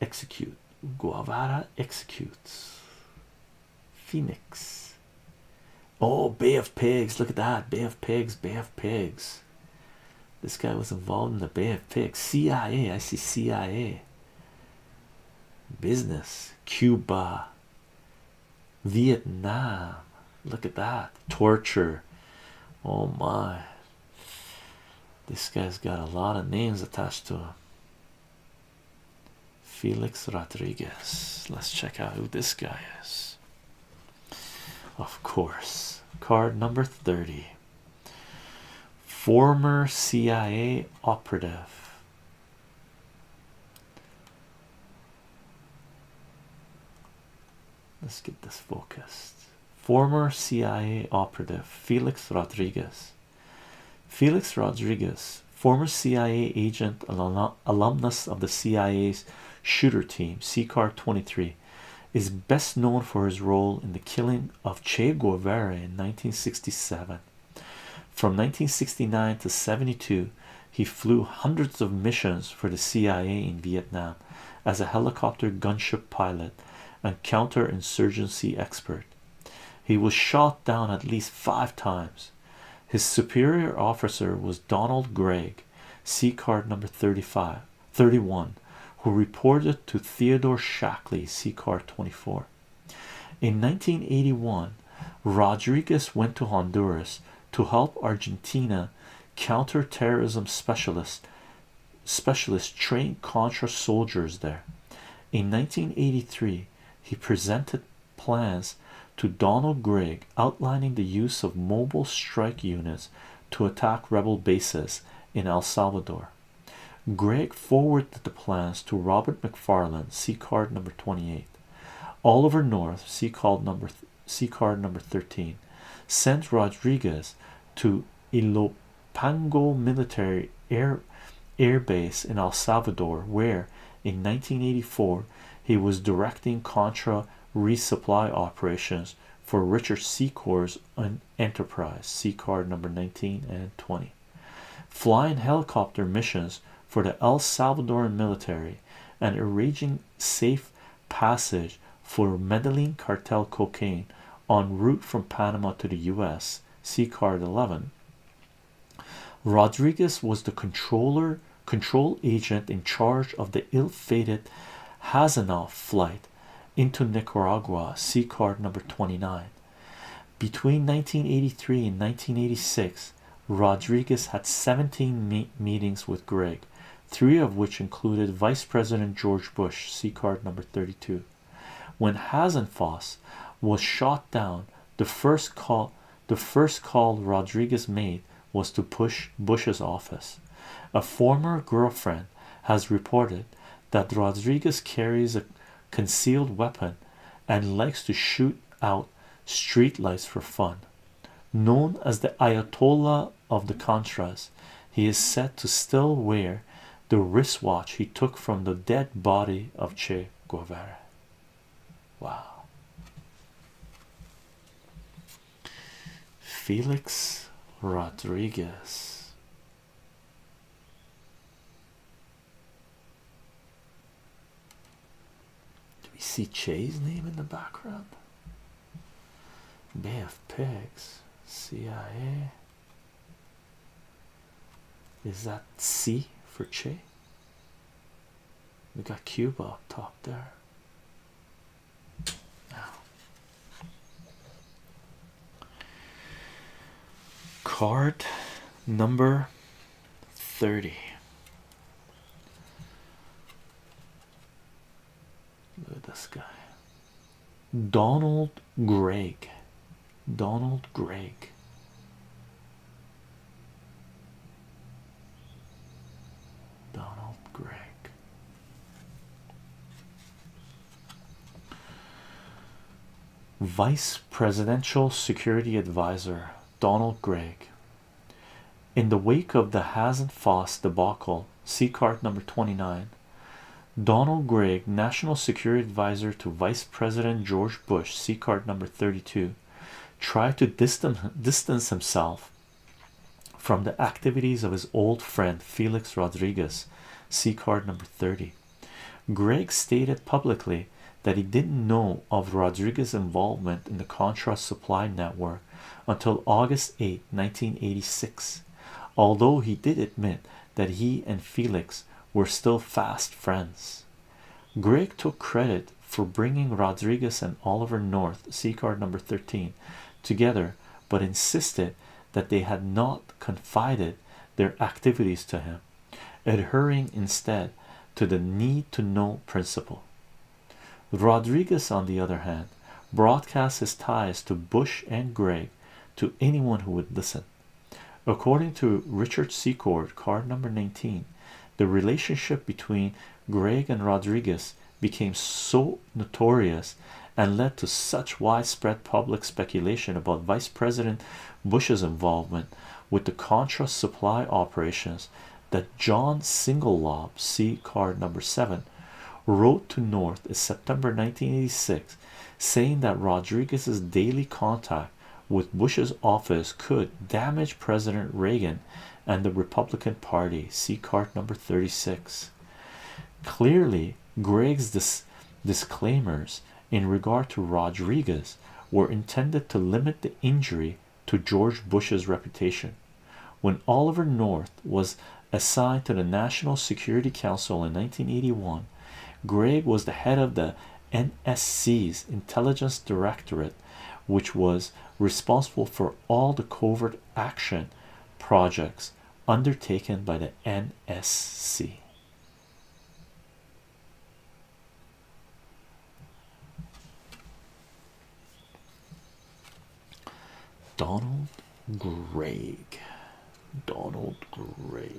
[SPEAKER 1] Execute. Guavara executes. Phoenix. Oh, Bay of Pigs. Look at that. Bay of Pigs. Bay of Pigs. This guy was involved in the Bay of Pigs. CIA, I see CIA. Business, Cuba, Vietnam. Look at that torture. Oh my! This guy's got a lot of names attached to him. Felix Rodriguez. Let's check out who this guy is. Of course, card number 30. Former CIA operative let's get this focused former CIA operative Felix Rodriguez Felix Rodriguez former CIA agent alumnus of the CIA's shooter team CCAR 23 is best known for his role in the killing of Che Guevara in 1967. From 1969 to 72, he flew hundreds of missions for the CIA in Vietnam as a helicopter gunship pilot and counterinsurgency expert. He was shot down at least five times. His superior officer was Donald Gregg, C card number 35. 31 who reported to Theodore Shackley CCAR 24 in 1981 Rodriguez went to Honduras to help Argentina counter-terrorism specialists specialists train Contra soldiers there in 1983 he presented plans to Donald Gregg outlining the use of mobile strike units to attack rebel bases in El Salvador. Gregg forwarded the plans to Robert McFarland, See card number 28, Oliver North, see card number C card number 13, sent Rodriguez to Ilopango military air base in El Salvador, where in 1984 he was directing Contra resupply operations for Richard Secor's Enterprise, C card number 19 and 20. Flying helicopter missions for the El Salvadoran military and arranging safe passage for Medellin cartel cocaine en route from Panama to the US, C card 11. Rodriguez was the controller, control agent in charge of the ill fated Hazanoff flight into Nicaragua, C card number 29. Between 1983 and 1986, Rodriguez had 17 meetings with Gregg, three of which included Vice President George Bush, C card number 32. When Hazenfoss was shot down, the first call the first call Rodriguez made was to push Bush's office. A former girlfriend has reported that Rodriguez carries a concealed weapon and likes to shoot out streetlights for fun. Known as the Ayatollah of the Contras, he is said to still wear the wristwatch he took from the dead body of Che Guevara. Wow. Felix Rodriguez. Do we see Che's name in the background? Bay of Pigs, CIA. Is that C for Che? We got Cuba up top there. Card number 30. Look at this guy. Donald Gregg. Donald Gregg. Donald Gregg. Vice Presidential Security Advisor Donald Gregg. In the wake of the Hasenfoss debacle, see number 29, Donald Gregg, National Security Advisor to Vice President George Bush, see number 32, tried to distance himself from the activities of his old friend Felix Rodriguez. See card number 30. Greg stated publicly that he didn't know of Rodriguez's involvement in the Contras supply network until August 8, 1986, although he did admit that he and Felix were still fast friends. Greg took credit for bringing Rodriguez and Oliver North, see card number 13, together but insisted that they had not confided their activities to him, adhering instead to the need to know principle. Rodriguez, on the other hand, broadcast his ties to Bush and Gregg to anyone who would listen. According to Richard Secord, card number 19, the relationship between Gregg and Rodriguez became so notorious and led to such widespread public speculation about Vice President Bush's involvement with the Contra supply operations that John Singlelob, see card number seven, wrote to North in September 1986 saying that Rodriguez's daily contact with Bush's office could damage President Reagan and the Republican Party. See card number 36. Clearly, Gregg's disclaimers in regard to Rodriguez were intended to limit the injury to George Bush's reputation. When Oliver North was assigned to the National Security Council in 1981, Gregg was the head of the NSC's Intelligence Directorate, which was responsible for all the covert action projects undertaken by the NSC. Donald Gregg, Donald Gregg.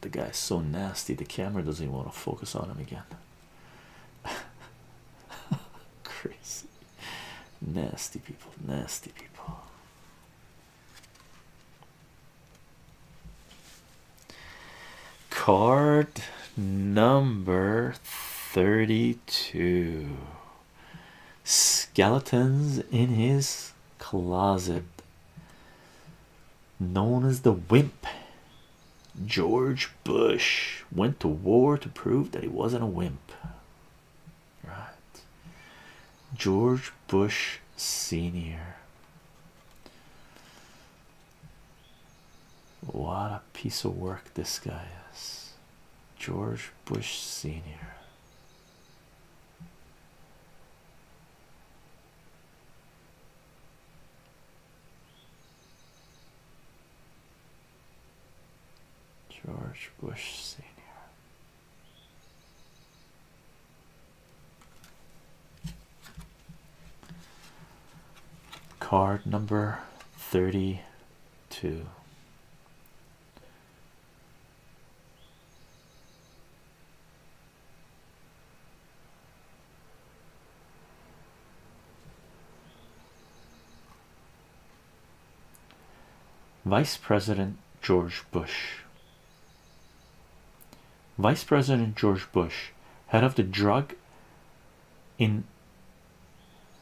[SPEAKER 1] The guy's so nasty, the camera doesn't even want to focus on him again. Crazy, nasty people, nasty people. Card number 32 Skeletons in his closet known as the wimp george bush went to war to prove that he wasn't a wimp right george bush senior what a piece of work this guy is george bush senior George Bush Sr. Card number 32. Vice President George Bush. Vice President George Bush, head of the Drug in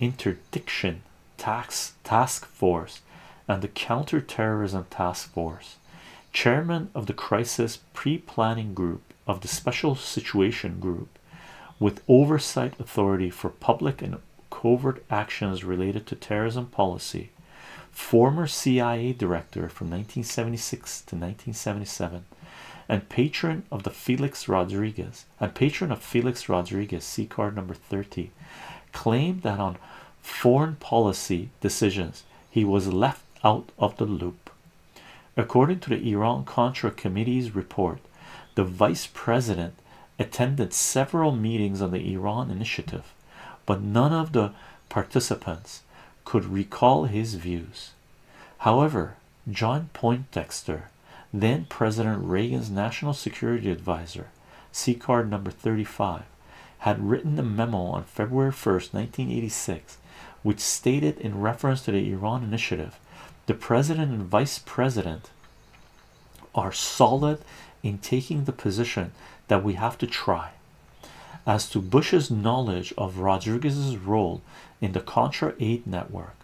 [SPEAKER 1] Interdiction Tax Task Force and the Counterterrorism Task Force, chairman of the Crisis pre-planning group of the special situation group with oversight authority for public and covert actions related to terrorism policy former CIA director from 1976 to 1977 and patron of the Felix Rodriguez and patron of Felix Rodriguez C card number 30 claimed that on foreign policy decisions he was left out of the loop. According to the Iran-Contra Committee's report, the vice president attended several meetings on the Iran initiative, but none of the participants could recall his views. However, John Poindexter, then President Reagan's National Security Advisor, see card number 35, had written a memo on February 1st, 1986, which stated in reference to the Iran initiative, the president and vice president are solid in taking the position that we have to try. As to Bush's knowledge of Rodriguez's role in the Contra aid network,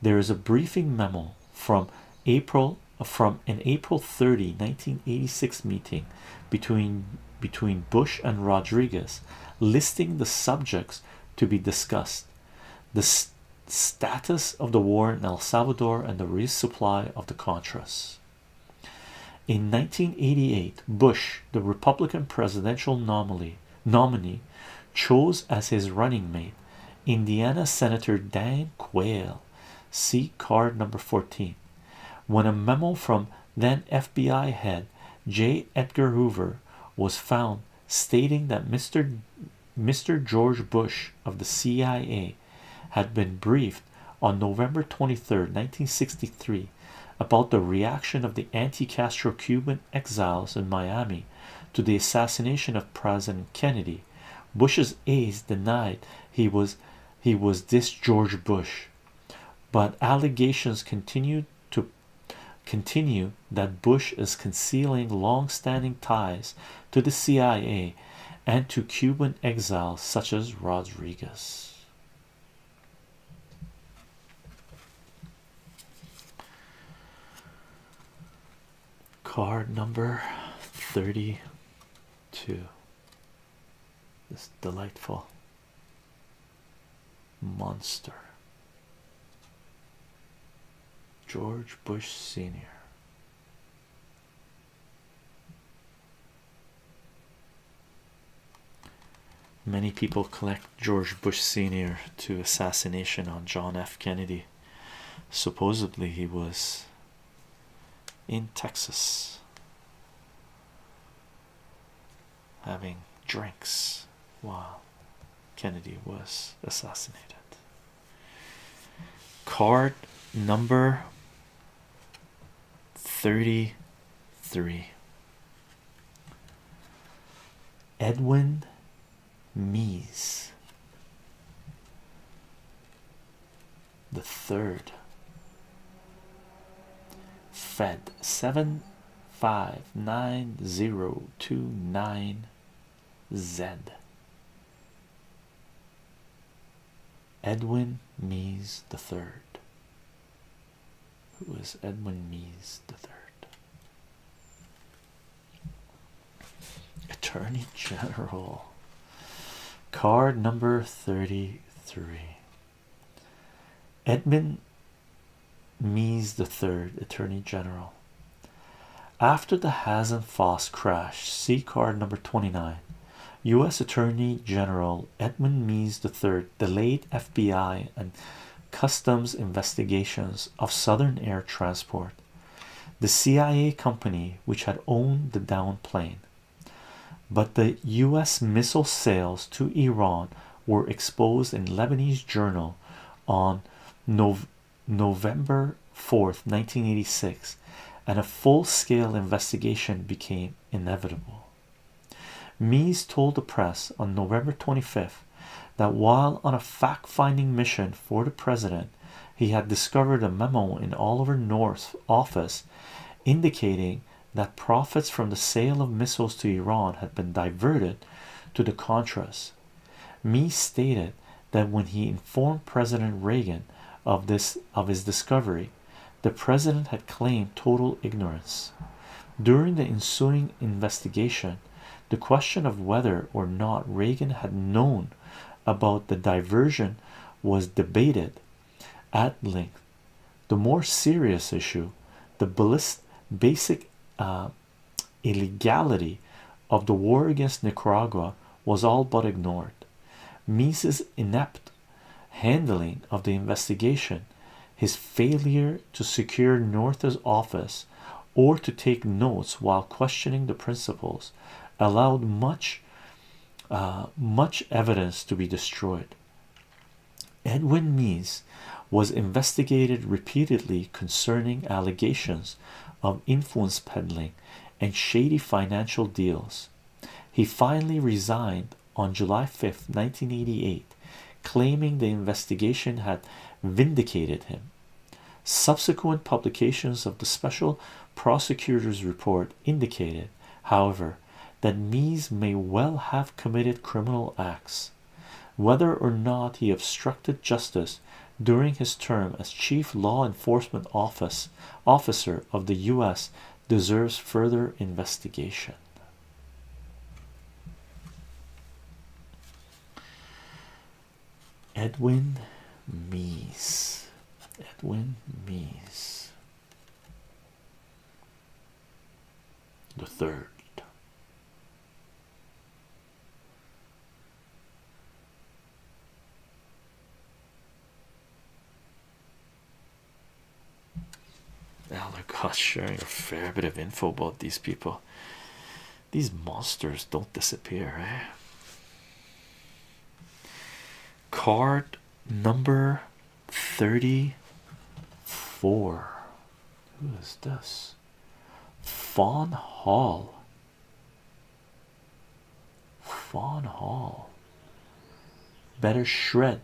[SPEAKER 1] there is a briefing memo from April from an April 30, 1986 meeting between between Bush and Rodriguez listing the subjects to be discussed the status of the war in El Salvador and the resupply of the Contras in 1988 Bush the Republican presidential nominee chose as his running mate Indiana Senator Dan Quayle see card number 14 when a memo from then FBI head J. Edgar Hoover was found stating that Mr. Mr. George Bush of the CIA had been briefed on November 23, 1963 about the reaction of the anti-Castro Cuban exiles in Miami to the assassination of President Kennedy. Bush's aides denied he was he was this George Bush but allegations continue to continue that Bush is concealing long-standing ties to the CIA and to Cuban exiles such as Rodriguez. Card number 32. This delightful monster George Bush Sr. Many people collect George Bush Sr. to assassination on John F. Kennedy. Supposedly, he was in Texas having drinks while Kennedy was assassinated. Card number 33 Edwin Meese the third Fed seven five nine zero two nine Z Edwin Mees the third. Who Edwin Mees the third? Attorney General. Card number thirty-three. Edmund Meese the Third, Attorney General. After the Hazen-Foss crash, see card number 29, U.S. Attorney General Edmund Meese III delayed FBI and customs investigations of Southern Air Transport, the CIA company which had owned the down plane but the U.S. missile sales to Iran were exposed in Lebanese Journal on November 4, 1986, and a full-scale investigation became inevitable. Mies told the press on November 25th that while on a fact-finding mission for the president, he had discovered a memo in Oliver North's office indicating that profits from the sale of missiles to Iran had been diverted to the Contras. Meese stated that when he informed President Reagan of this of his discovery, the president had claimed total ignorance. During the ensuing investigation, the question of whether or not Reagan had known about the diversion was debated at length the more serious issue, the basic uh, illegality of the war against Nicaragua, was all but ignored. Mises' inept handling of the investigation, his failure to secure North's office or to take notes while questioning the principals, allowed much, uh, much evidence to be destroyed. Edwin Meese was investigated repeatedly concerning allegations of influence peddling and shady financial deals. He finally resigned on July 5, 1988, claiming the investigation had vindicated him. Subsequent publications of the special prosecutor's report indicated, however, that Meese may well have committed criminal acts. Whether or not he obstructed justice during his term as chief law enforcement officer of the U.S. deserves further investigation. Edwin Meese. Edwin Meese the third. Now sharing a fair bit of info about these people. These monsters don't disappear, eh? Card number 34 who is this fawn hall fawn hall better shred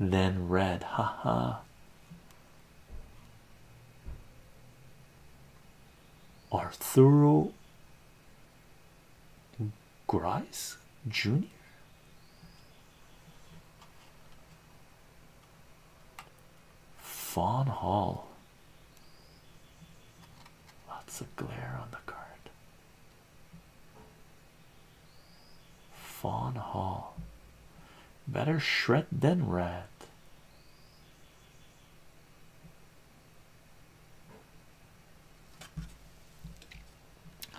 [SPEAKER 1] than read. Ha ha. Arthur. grice junior Fawn Hall. Lots of glare on the card. Fawn Hall. Better shred than red.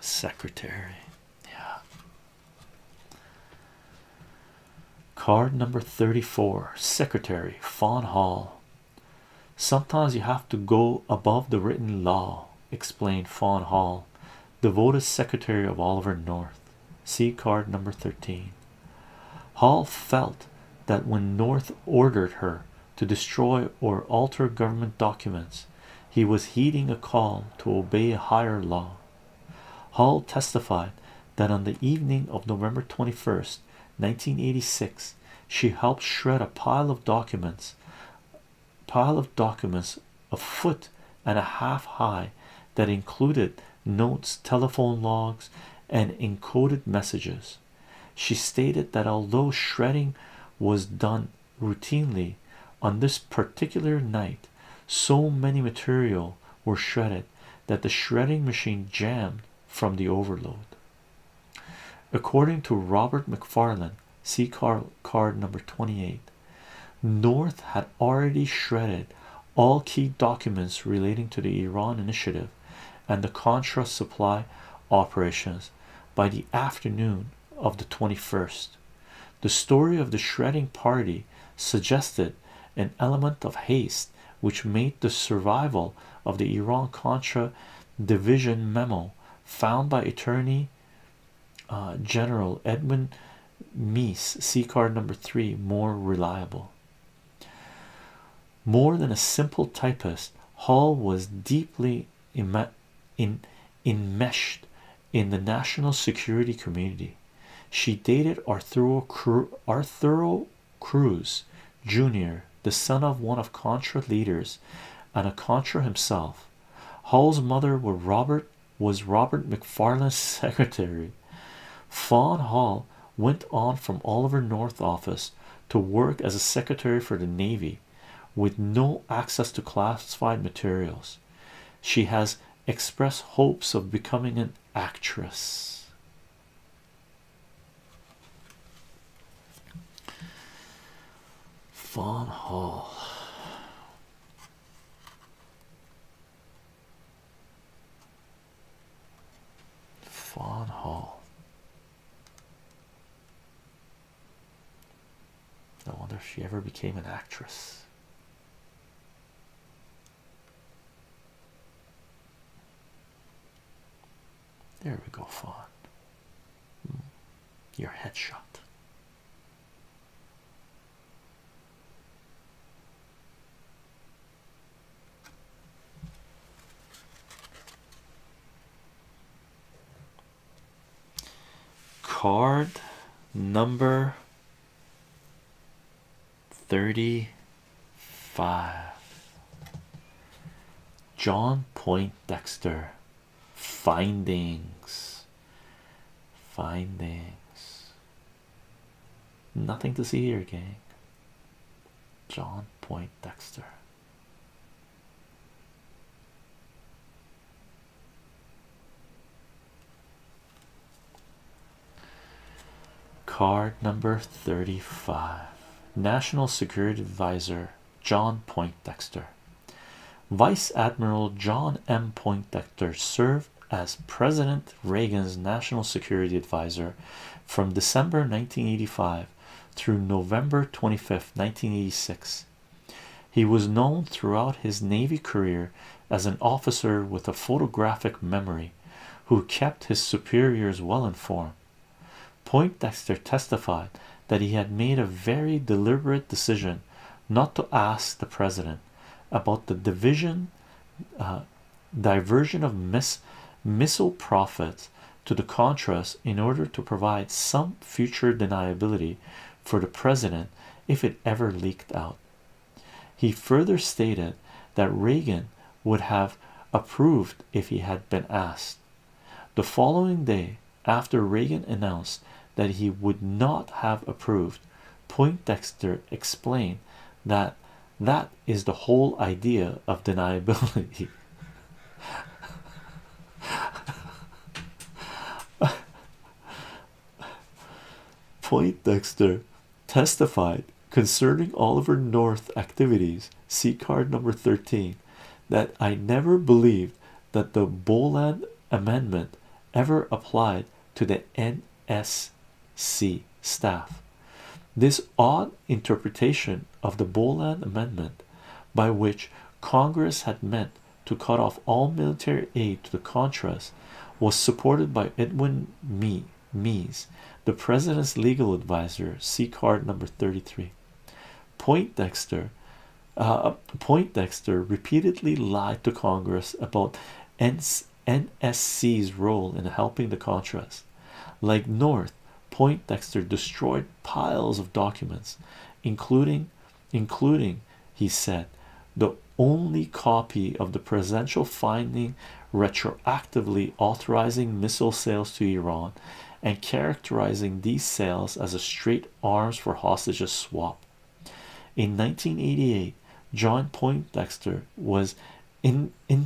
[SPEAKER 1] Secretary. Yeah. Card number 34 Secretary Fawn Hall. Sometimes you have to go above the written law, explained Fawn Hall, devoted secretary of Oliver North. See card number 13. Hall felt that when North ordered her to destroy or alter government documents, he was heeding a call to obey a higher law. Hall testified that on the evening of November 21, 1986, she helped shred a pile of documents, pile of documents a foot and a half high that included notes, telephone logs, and encoded messages. She stated that although shredding was done routinely, on this particular night so many material were shredded that the shredding machine jammed from the overload according to robert mcfarlane see card number 28 north had already shredded all key documents relating to the iran initiative and the contra supply operations by the afternoon of the 21st the story of the shredding party suggested an element of haste which made the survival of the Iran-Contra division memo found by Attorney uh, General Edwin Meese, see card number three, more reliable. More than a simple typist, Hall was deeply in enmeshed in the national security community. She dated Arthur Cru Cruz Jr., the son of one of Contra leaders and a Contra himself. Hall's mother was Robert was Robert McFarland's secretary. Fawn Hall went on from Oliver North's office to work as a secretary for the Navy with no access to classified materials. She has express hopes of becoming an actress. Fawn Hall. Fawn Hall. No wonder she ever became an actress. There we go, Fawn. Hmm. Your headshot. Card number 35 John Poindexter findings findings nothing to see here gang John Poindexter Card number 35 National Security Advisor John Poindexter. Vice Admiral John M. Poindexter served as President Reagan's National Security Advisor from December 1985 through November 25, 1986. He was known throughout his Navy career as an officer with a photographic memory who kept his superiors well informed. Poindexter testified that he had made a very deliberate decision not to ask the president about the division uh, diversion of missile profits to the Contras in order to provide some future deniability for the president if it ever leaked out he further stated that Reagan would have approved if he had been asked. The following day, after Reagan announced that he would not have approved, Poindexter explained that that is the whole idea of deniability. Poindexter testified concerning Oliver North's activities, see card number 13, that I never believed that the Boland Amendment ever applied to the NSC staff. This odd interpretation of the Boland Amendment, by which Congress had meant to cut off all military aid to the Contras was supported by Edwin Mee Mees, the president's legal advisor, see card number 33. Poindexter uh, Poindexter repeatedly lied to Congress about NSC's role in helping the Contras. Like North, Poindexter destroyed piles of documents, including including he said. The only copy of the presidential finding retroactively authorizing missile sales to Iran and characterizing these sales as a straight arms for hostages swap. In 1988, John Poindexter was indicted,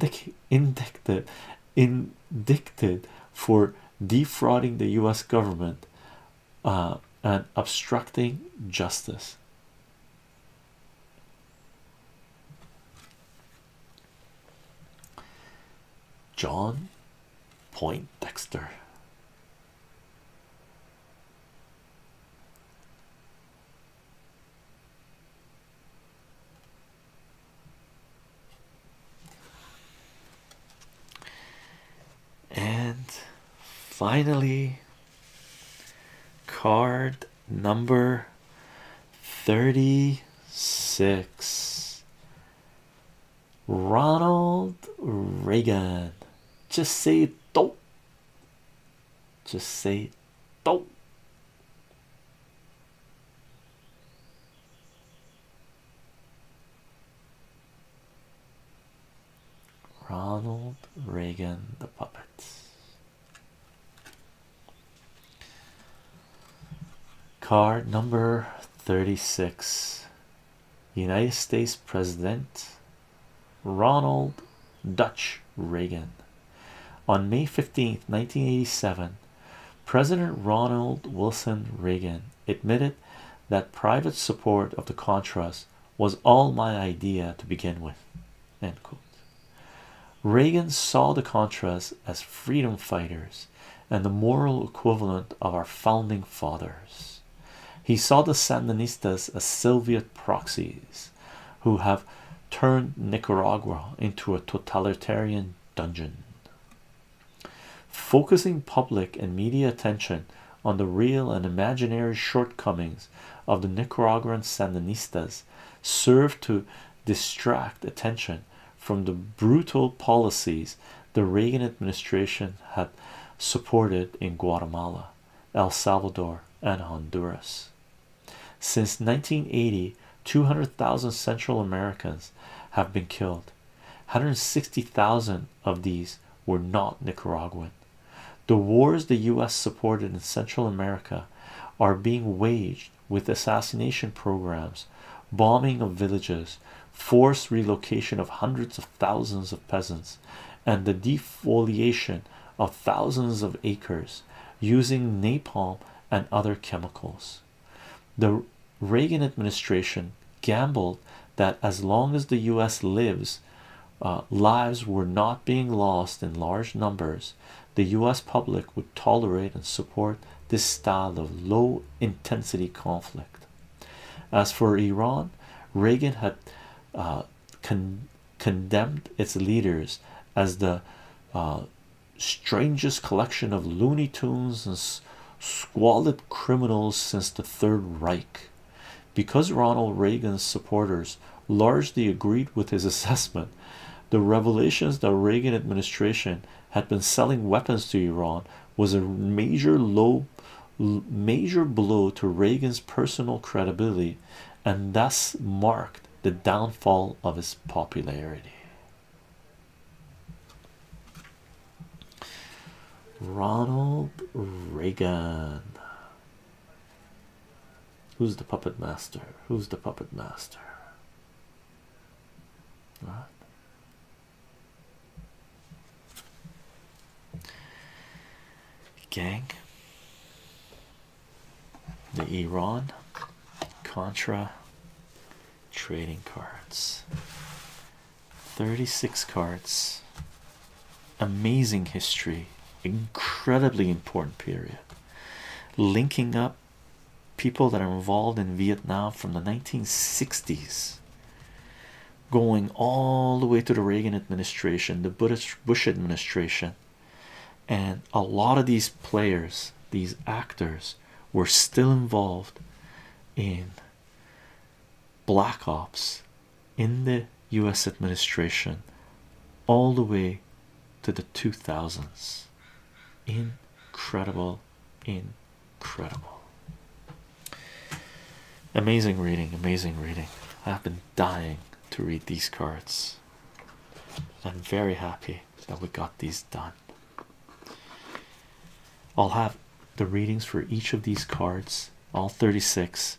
[SPEAKER 1] for defrauding the US government uh, and obstructing justice. John Poindexter. And finally, Card number 36 Ronald Reagan. Just say don't. Just say don't. Ronald Reagan the puppet. Card number 36 United States President Ronald Dutch Reagan. On May 15th, 1987, President Ronald Wilson Reagan admitted that private support of the Contras was all my idea to begin with. End Reagan saw the Contras as freedom fighters and the moral equivalent of our founding fathers. He saw the Sandinistas as Soviet proxies who have turned Nicaragua into a totalitarian dungeon. Focusing public and media attention on the real and imaginary shortcomings of the Nicaraguan Sandinistas served to distract attention from the brutal policies the Reagan administration had supported in Guatemala, El Salvador, and Honduras. Since 1980, 200,000 Central Americans have been killed. 160,000 of these were not Nicaraguan. The wars the US supported in Central America are being waged with assassination programs, bombing of villages, forced relocation of hundreds of thousands of peasants, and the defoliation of thousands of acres using napalm and other chemicals. The Reagan administration gambled that as long as the US lives, uh, lives were not being lost in large numbers, the US public would tolerate and support this style of low intensity conflict. As for Iran, Reagan had uh, condemned its leaders as the uh, strangest collection of Looney Tunes and squalid criminals since the Third Reich. Because Ronald Reagan's supporters largely agreed with his assessment, the revelations that Reagan administration had been selling weapons to Iran was a major low major blow to Reagan's personal credibility and thus marked the downfall of his popularity. Ronald Reagan Who's the puppet master? Who's the puppet master? Right. Gang, the Iran Contra trading cards, 36 cards amazing history, incredibly important period, linking up people that are involved in Vietnam from the 1960s going all the way to the Reagan administration, the Bush, administration, and a lot of these players, these actors, were still involved in black ops in the US administration all the way to the 2000s. Incredible, incredible. Amazing reading, amazing reading. I've been dying to read these cards. I'm very happy that we got these done. I'll have the readings for each of these cards, all 36,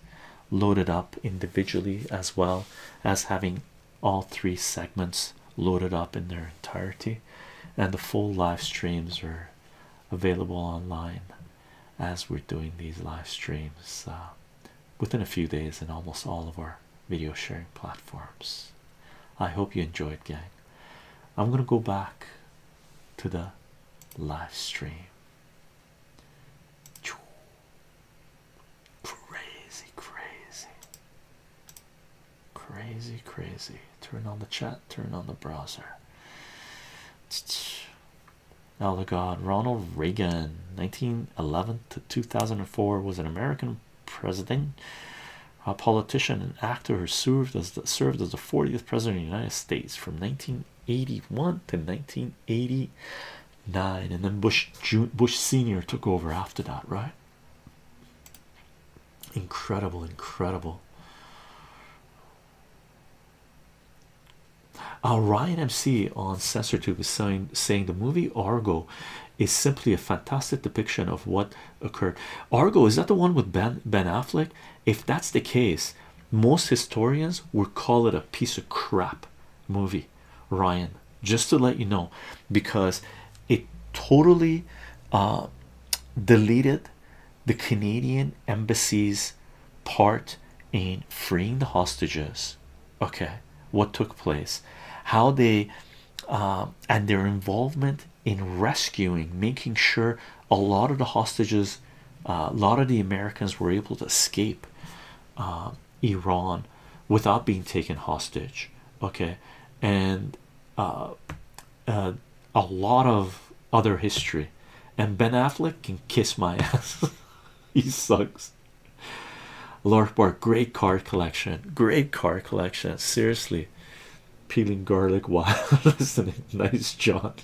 [SPEAKER 1] loaded up individually as well as having all three segments loaded up in their entirety and the full live streams are available online as we're doing these live streams uh, within a few days in almost all of our video sharing platforms i hope you enjoyed gang i'm going to go back to the live stream Crazy, crazy, crazy, crazy. Turn on the chat, turn on the browser. Oh, the God, Ronald Reagan, 1911 to 2004, was an American president, a politician, and actor who served as served as the 40th president of the United States from 1981 to 1980 nine, and then Bush Bush Senior took over after that, right? Incredible, incredible. Uh, Ryan MC on CensorTube is saying, saying the movie Argo is simply a fantastic depiction of what occurred. Argo is that the one with Ben Ben Affleck? If that's the case, most historians would call it a piece of crap movie. Ryan, just to let you know, because it totally uh, deleted the Canadian embassy's part in freeing the hostages. Okay, what took place, how they uh, and their involvement in rescuing, making sure a lot of the hostages, uh, a lot of the Americans were able to escape. Um, Iran without being taken hostage okay and uh, uh, a lot of other history and Ben Affleck can kiss my ass he sucks Lord Bar great card collection great card collection seriously peeling garlic while listening nice job,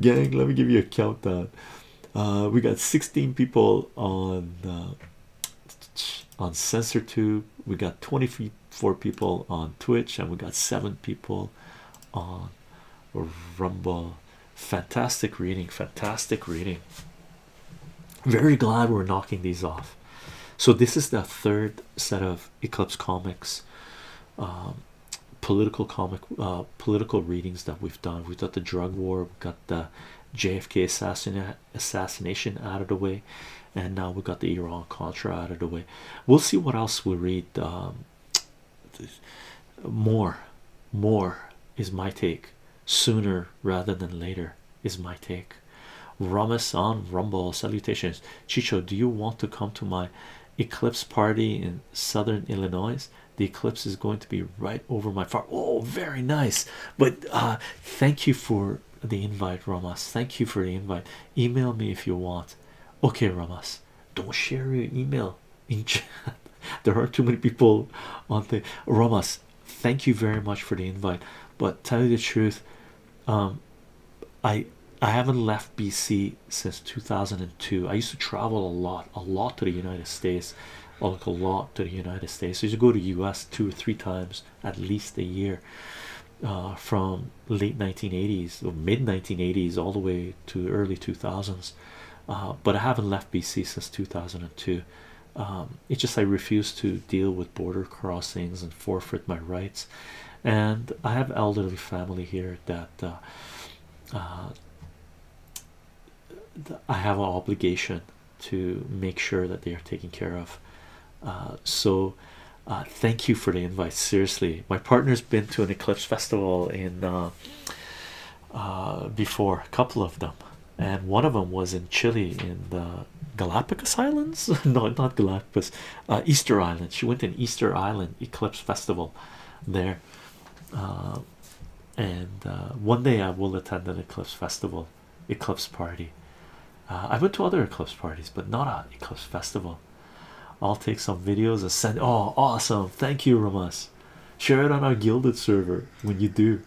[SPEAKER 1] gang let me give you a countdown uh, we got 16 people on uh, on SensorTube. We got 24 people on Twitch, and we got seven people on Rumble. Fantastic reading, fantastic reading. Very glad we're knocking these off. So this is the third set of Eclipse Comics. Um, political comic uh, political readings that we've done we've the drug war got the jfk assassination out of the way and now we got the iran contra out of the way we'll see what else we read um, more more is my take sooner rather than later is my take Ramus on rumble salutations chicho do you want to come to my eclipse party in southern illinois the eclipse is going to be right over my farm oh very nice but uh, thank you for the invite ramas thank you for the invite email me if you want okay ramas don't share your email there are too many people on the ramas thank you very much for the invite but tell you the truth um, i i haven't left bc since 2002 i used to travel a lot a lot to the United States, like a lot to the United States. So you go to US two or three times at least a year uh, from late 1980s or mid 1980s all the way to early 2000s. Uh, but I haven't left BC since 2002. Um, it's just I refuse to deal with border crossings and forfeit my rights. And I have elderly family here that uh, uh, I have an obligation to make sure that they are taken care of. Uh, so, uh, thank you for the invite. Seriously, my partner's been to an eclipse festival in uh, before a couple of them, and one of them was in Chile in the Galapagos Islands. no, not Galapagos, Easter Island. She went to an Easter Island eclipse festival there and uh, one day I will attend an eclipse festival, eclipse party. Uh, I went to other eclipse parties, but not a eclipse festival. I'll take some videos and send. Oh, awesome! Thank you, Ramas. Share it on our Gilded server when you do.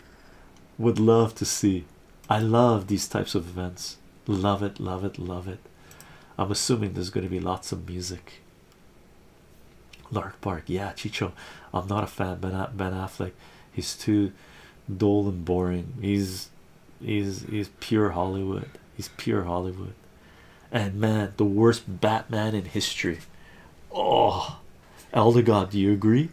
[SPEAKER 1] Would love to see. I love these types of events. Love it, love it, love it. I'm assuming there's going to be lots of music. Lark Park, yeah, Chicho. I'm not a fan. Ben Ben Affleck, he's too dull and boring. He's he's he's pure Hollywood. He's pure Hollywood. And man, the worst Batman in history. Oh, Eldegood, do you agree?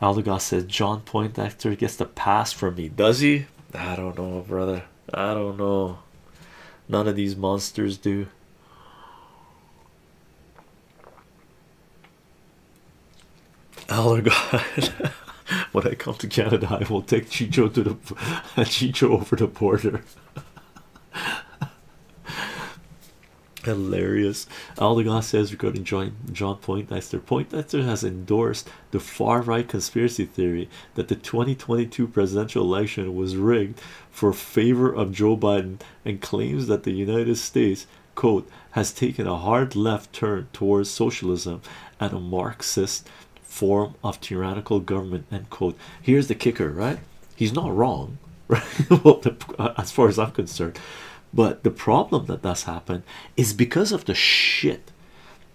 [SPEAKER 1] Aldegas says John Point actor gets the pass from me. Does he? I don't know, brother. I don't know. None of these monsters do. Allergod, when I come to Canada, I will take Chicho to the Chicho over the border. Hilarious. Aldegon says regarding John John Poindexter. Poindexter has endorsed the far right conspiracy theory that the 2022 presidential election was rigged for favor of Joe Biden and claims that the United States quote has taken a hard left turn towards socialism and a Marxist form of tyrannical government end quote here's the kicker right he's not wrong right uh, as far as I'm concerned but the problem that that's happened is because of the shit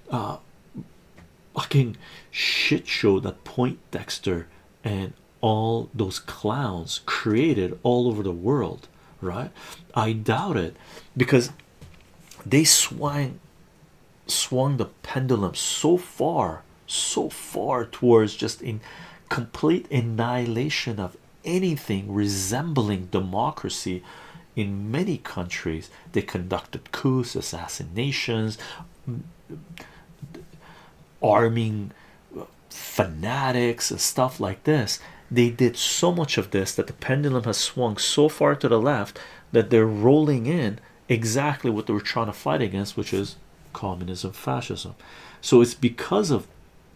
[SPEAKER 1] uh fucking shit show that Point Dexter and all those clowns created all over the world, right? I doubt it because they swung swung the pendulum so far so far towards just in complete annihilation of anything resembling democracy in many countries they conducted coups assassinations arming uh, fanatics and stuff like this they did so much of this that the pendulum has swung so far to the left that they're rolling in exactly what they were trying to fight against which is communism fascism so it's because of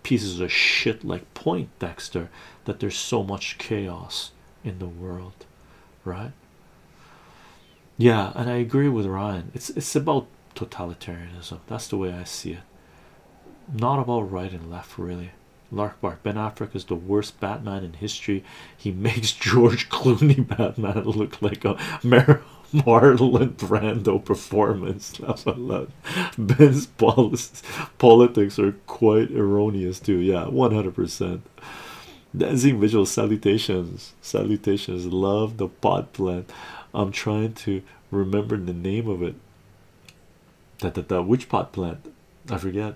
[SPEAKER 1] pieces of shit like point dexter that there's so much chaos in the world right yeah and i agree with ryan it's it's about totalitarianism. That's the way I see it. Not about right and left, really. Lark Bark Ben Affleck is the worst Batman in history. He makes George Clooney Batman look like a Marlon Brando performance. Love, love. Ben's politics are quite erroneous, too. Yeah, 100%. Dancing visual salutations, salutations. Love the pot plant. I'm trying to Remembering the name of it. That that that witch pot plant, I forget.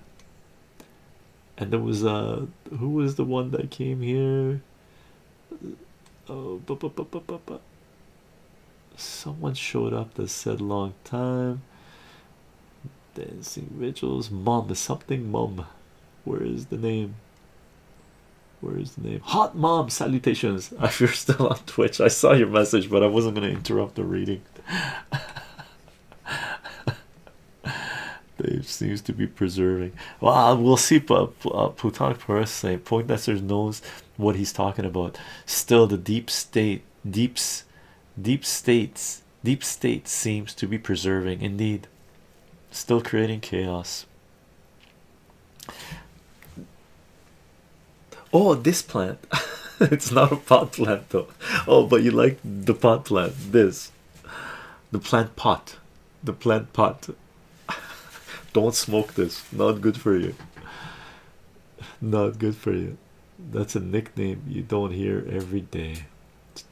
[SPEAKER 1] And there was uh who was the one that came here? Oh, bu bu bu bu bu bu. Someone showed up that said long time. Dancing rituals. Mom is something, Mom. Where is the name? Where is the name? Hot Mom Salutations. If you're still on Twitch, I saw your message, but I wasn't going to interrupt the reading. Dave seems to be preserving. Well, we'll see. But uh, Plutonic Paris saying Point Nestor knows what he's talking about. Still, the deep state, deeps, deep states, deep state seems to be preserving. Indeed, still creating chaos. Oh, this plant. it's not a pot plant though. Oh, but you like the pot plant. This, the plant pot, the plant pot. Don't smoke this. Not good for you. Not good for you. That's a nickname you don't hear every day.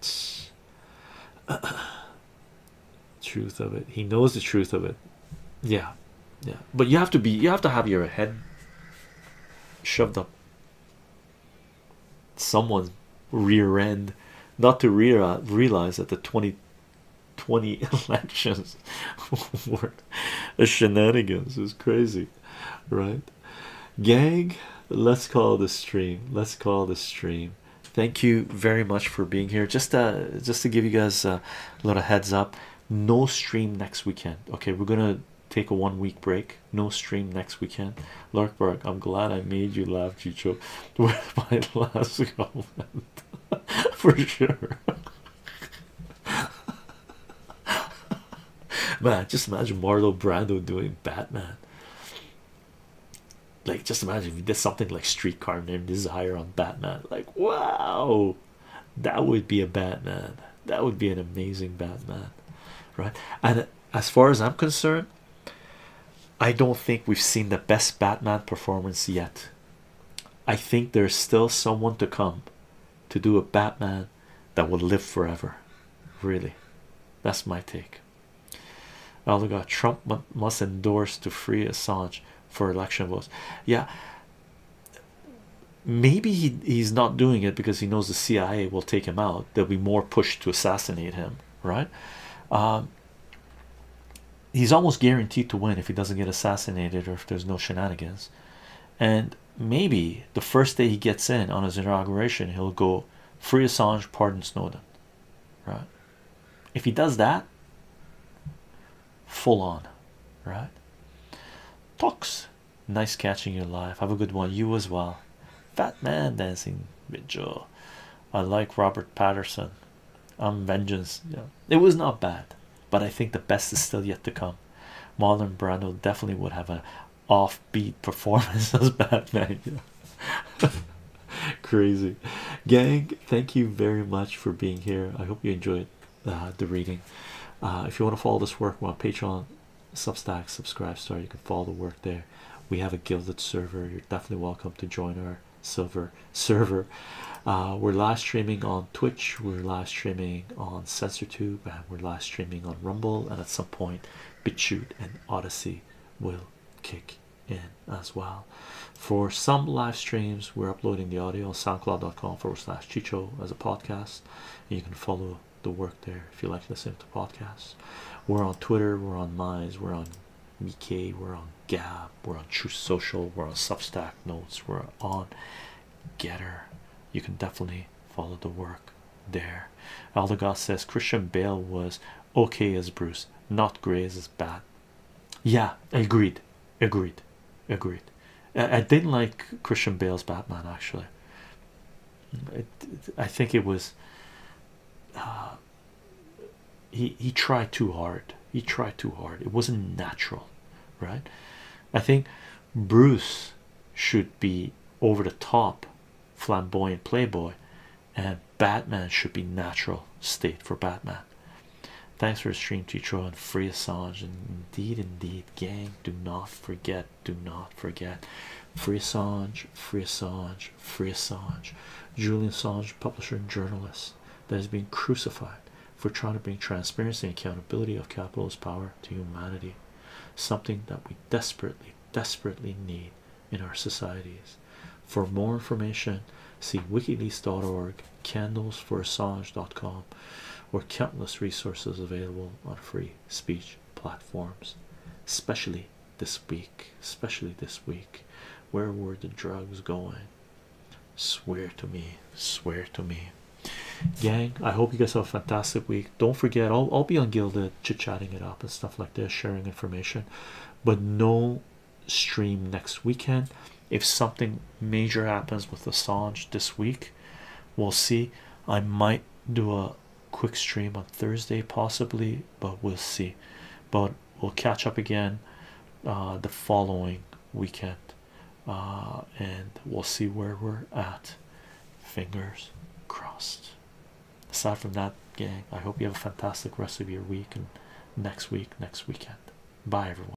[SPEAKER 1] truth of it he knows the truth of it yeah yeah but you have to be you have to have your head shoved up someone's rear end not to re realize that the 2020 elections were a shenanigans is crazy right gang let's call the stream let's call the stream thank you very much for being here just uh just to give you guys a little heads up no stream next weekend okay we're gonna take a one week break no stream next weekend larkberg i'm glad i made you laugh chicho with my last comment for sure man just imagine marlo brando doing batman like just imagine if he did something like streetcar named desire on batman like wow that would be a Batman. That would be an amazing Batman, right? And as far as I'm concerned, I don't think we've seen the best Batman performance yet. I think there's still someone to come to do a Batman that will live forever. Really, that's my take. Elder got Trump must endorse to free Assange for election votes. Yeah, maybe he's not doing it because he knows the CIA will take him out. There'll be more push to assassinate him, right? Um, he's almost guaranteed to win if he doesn't get assassinated or if there's no shenanigans. And maybe the first day he gets in on his inauguration, he'll go free Assange, pardon Snowden, right? If he does that, full on, right? Talks, nice catching your life. Have a good one, you as well. Fat man dancing with Joe. I like Robert Patterson. I'm vengeance. it was not bad, but I think the best is still yet to come. Marlon Brando definitely would have an offbeat performance as Batman. Yeah. Crazy gang, thank you very much for being here. I hope you enjoyed. Uh, the reading. Uh, if you want to follow this work, well, Patreon, Substack, Subscribe Star, you can follow the work there. We have a gilded server. You're definitely welcome to join our silver server. Uh, we're live streaming on Twitch. We're live streaming on SensorTube, and we're live streaming on Rumble, and at some point, BitChute and Odyssey will kick in as well for some live streams we're uploading the audio on soundcloud.com forward slash chicho as a podcast and you can follow the work there if you like listening to podcasts we're on twitter we're on minds we're on mk we're on gab we're on true social we're on substack notes we're on getter you can definitely follow the work there aldegas says christian bale was okay as bruce not gray as bat yeah agreed agreed agreed I, didn't like christian bale's batman actually i think it was uh, he he tried too hard he tried too hard it wasn't natural right i think bruce should be over the top flamboyant playboy and batman should be natural state for batman Thanks for the stream, Chicho, and free And indeed, indeed, gang, do not forget, do not forget. Free Assange, free Assange, Julian Assange, publisher and journalist, that has been crucified for trying to bring transparency and accountability of capitalist power to humanity. Something that we desperately, desperately need in our societies. For more information, see wikileaks.org candlesforassange.com or countless resources available on free speech platforms especially this week especially this week where were the drugs going swear to me swear to me gang i hope you guys have a fantastic week don't forget i'll, be on gilded chit chatting it up and stuff like this sharing information but no stream next weekend if something major happens with Assange this week, we'll see. I might do a quick stream on Thursday, possibly, but we'll see. But we'll catch up again uh, the following weekend, uh, and we'll see where we're at. Fingers crossed. Aside from that, gang, I hope you have a fantastic rest of your week and next week, next weekend. Bye, everyone.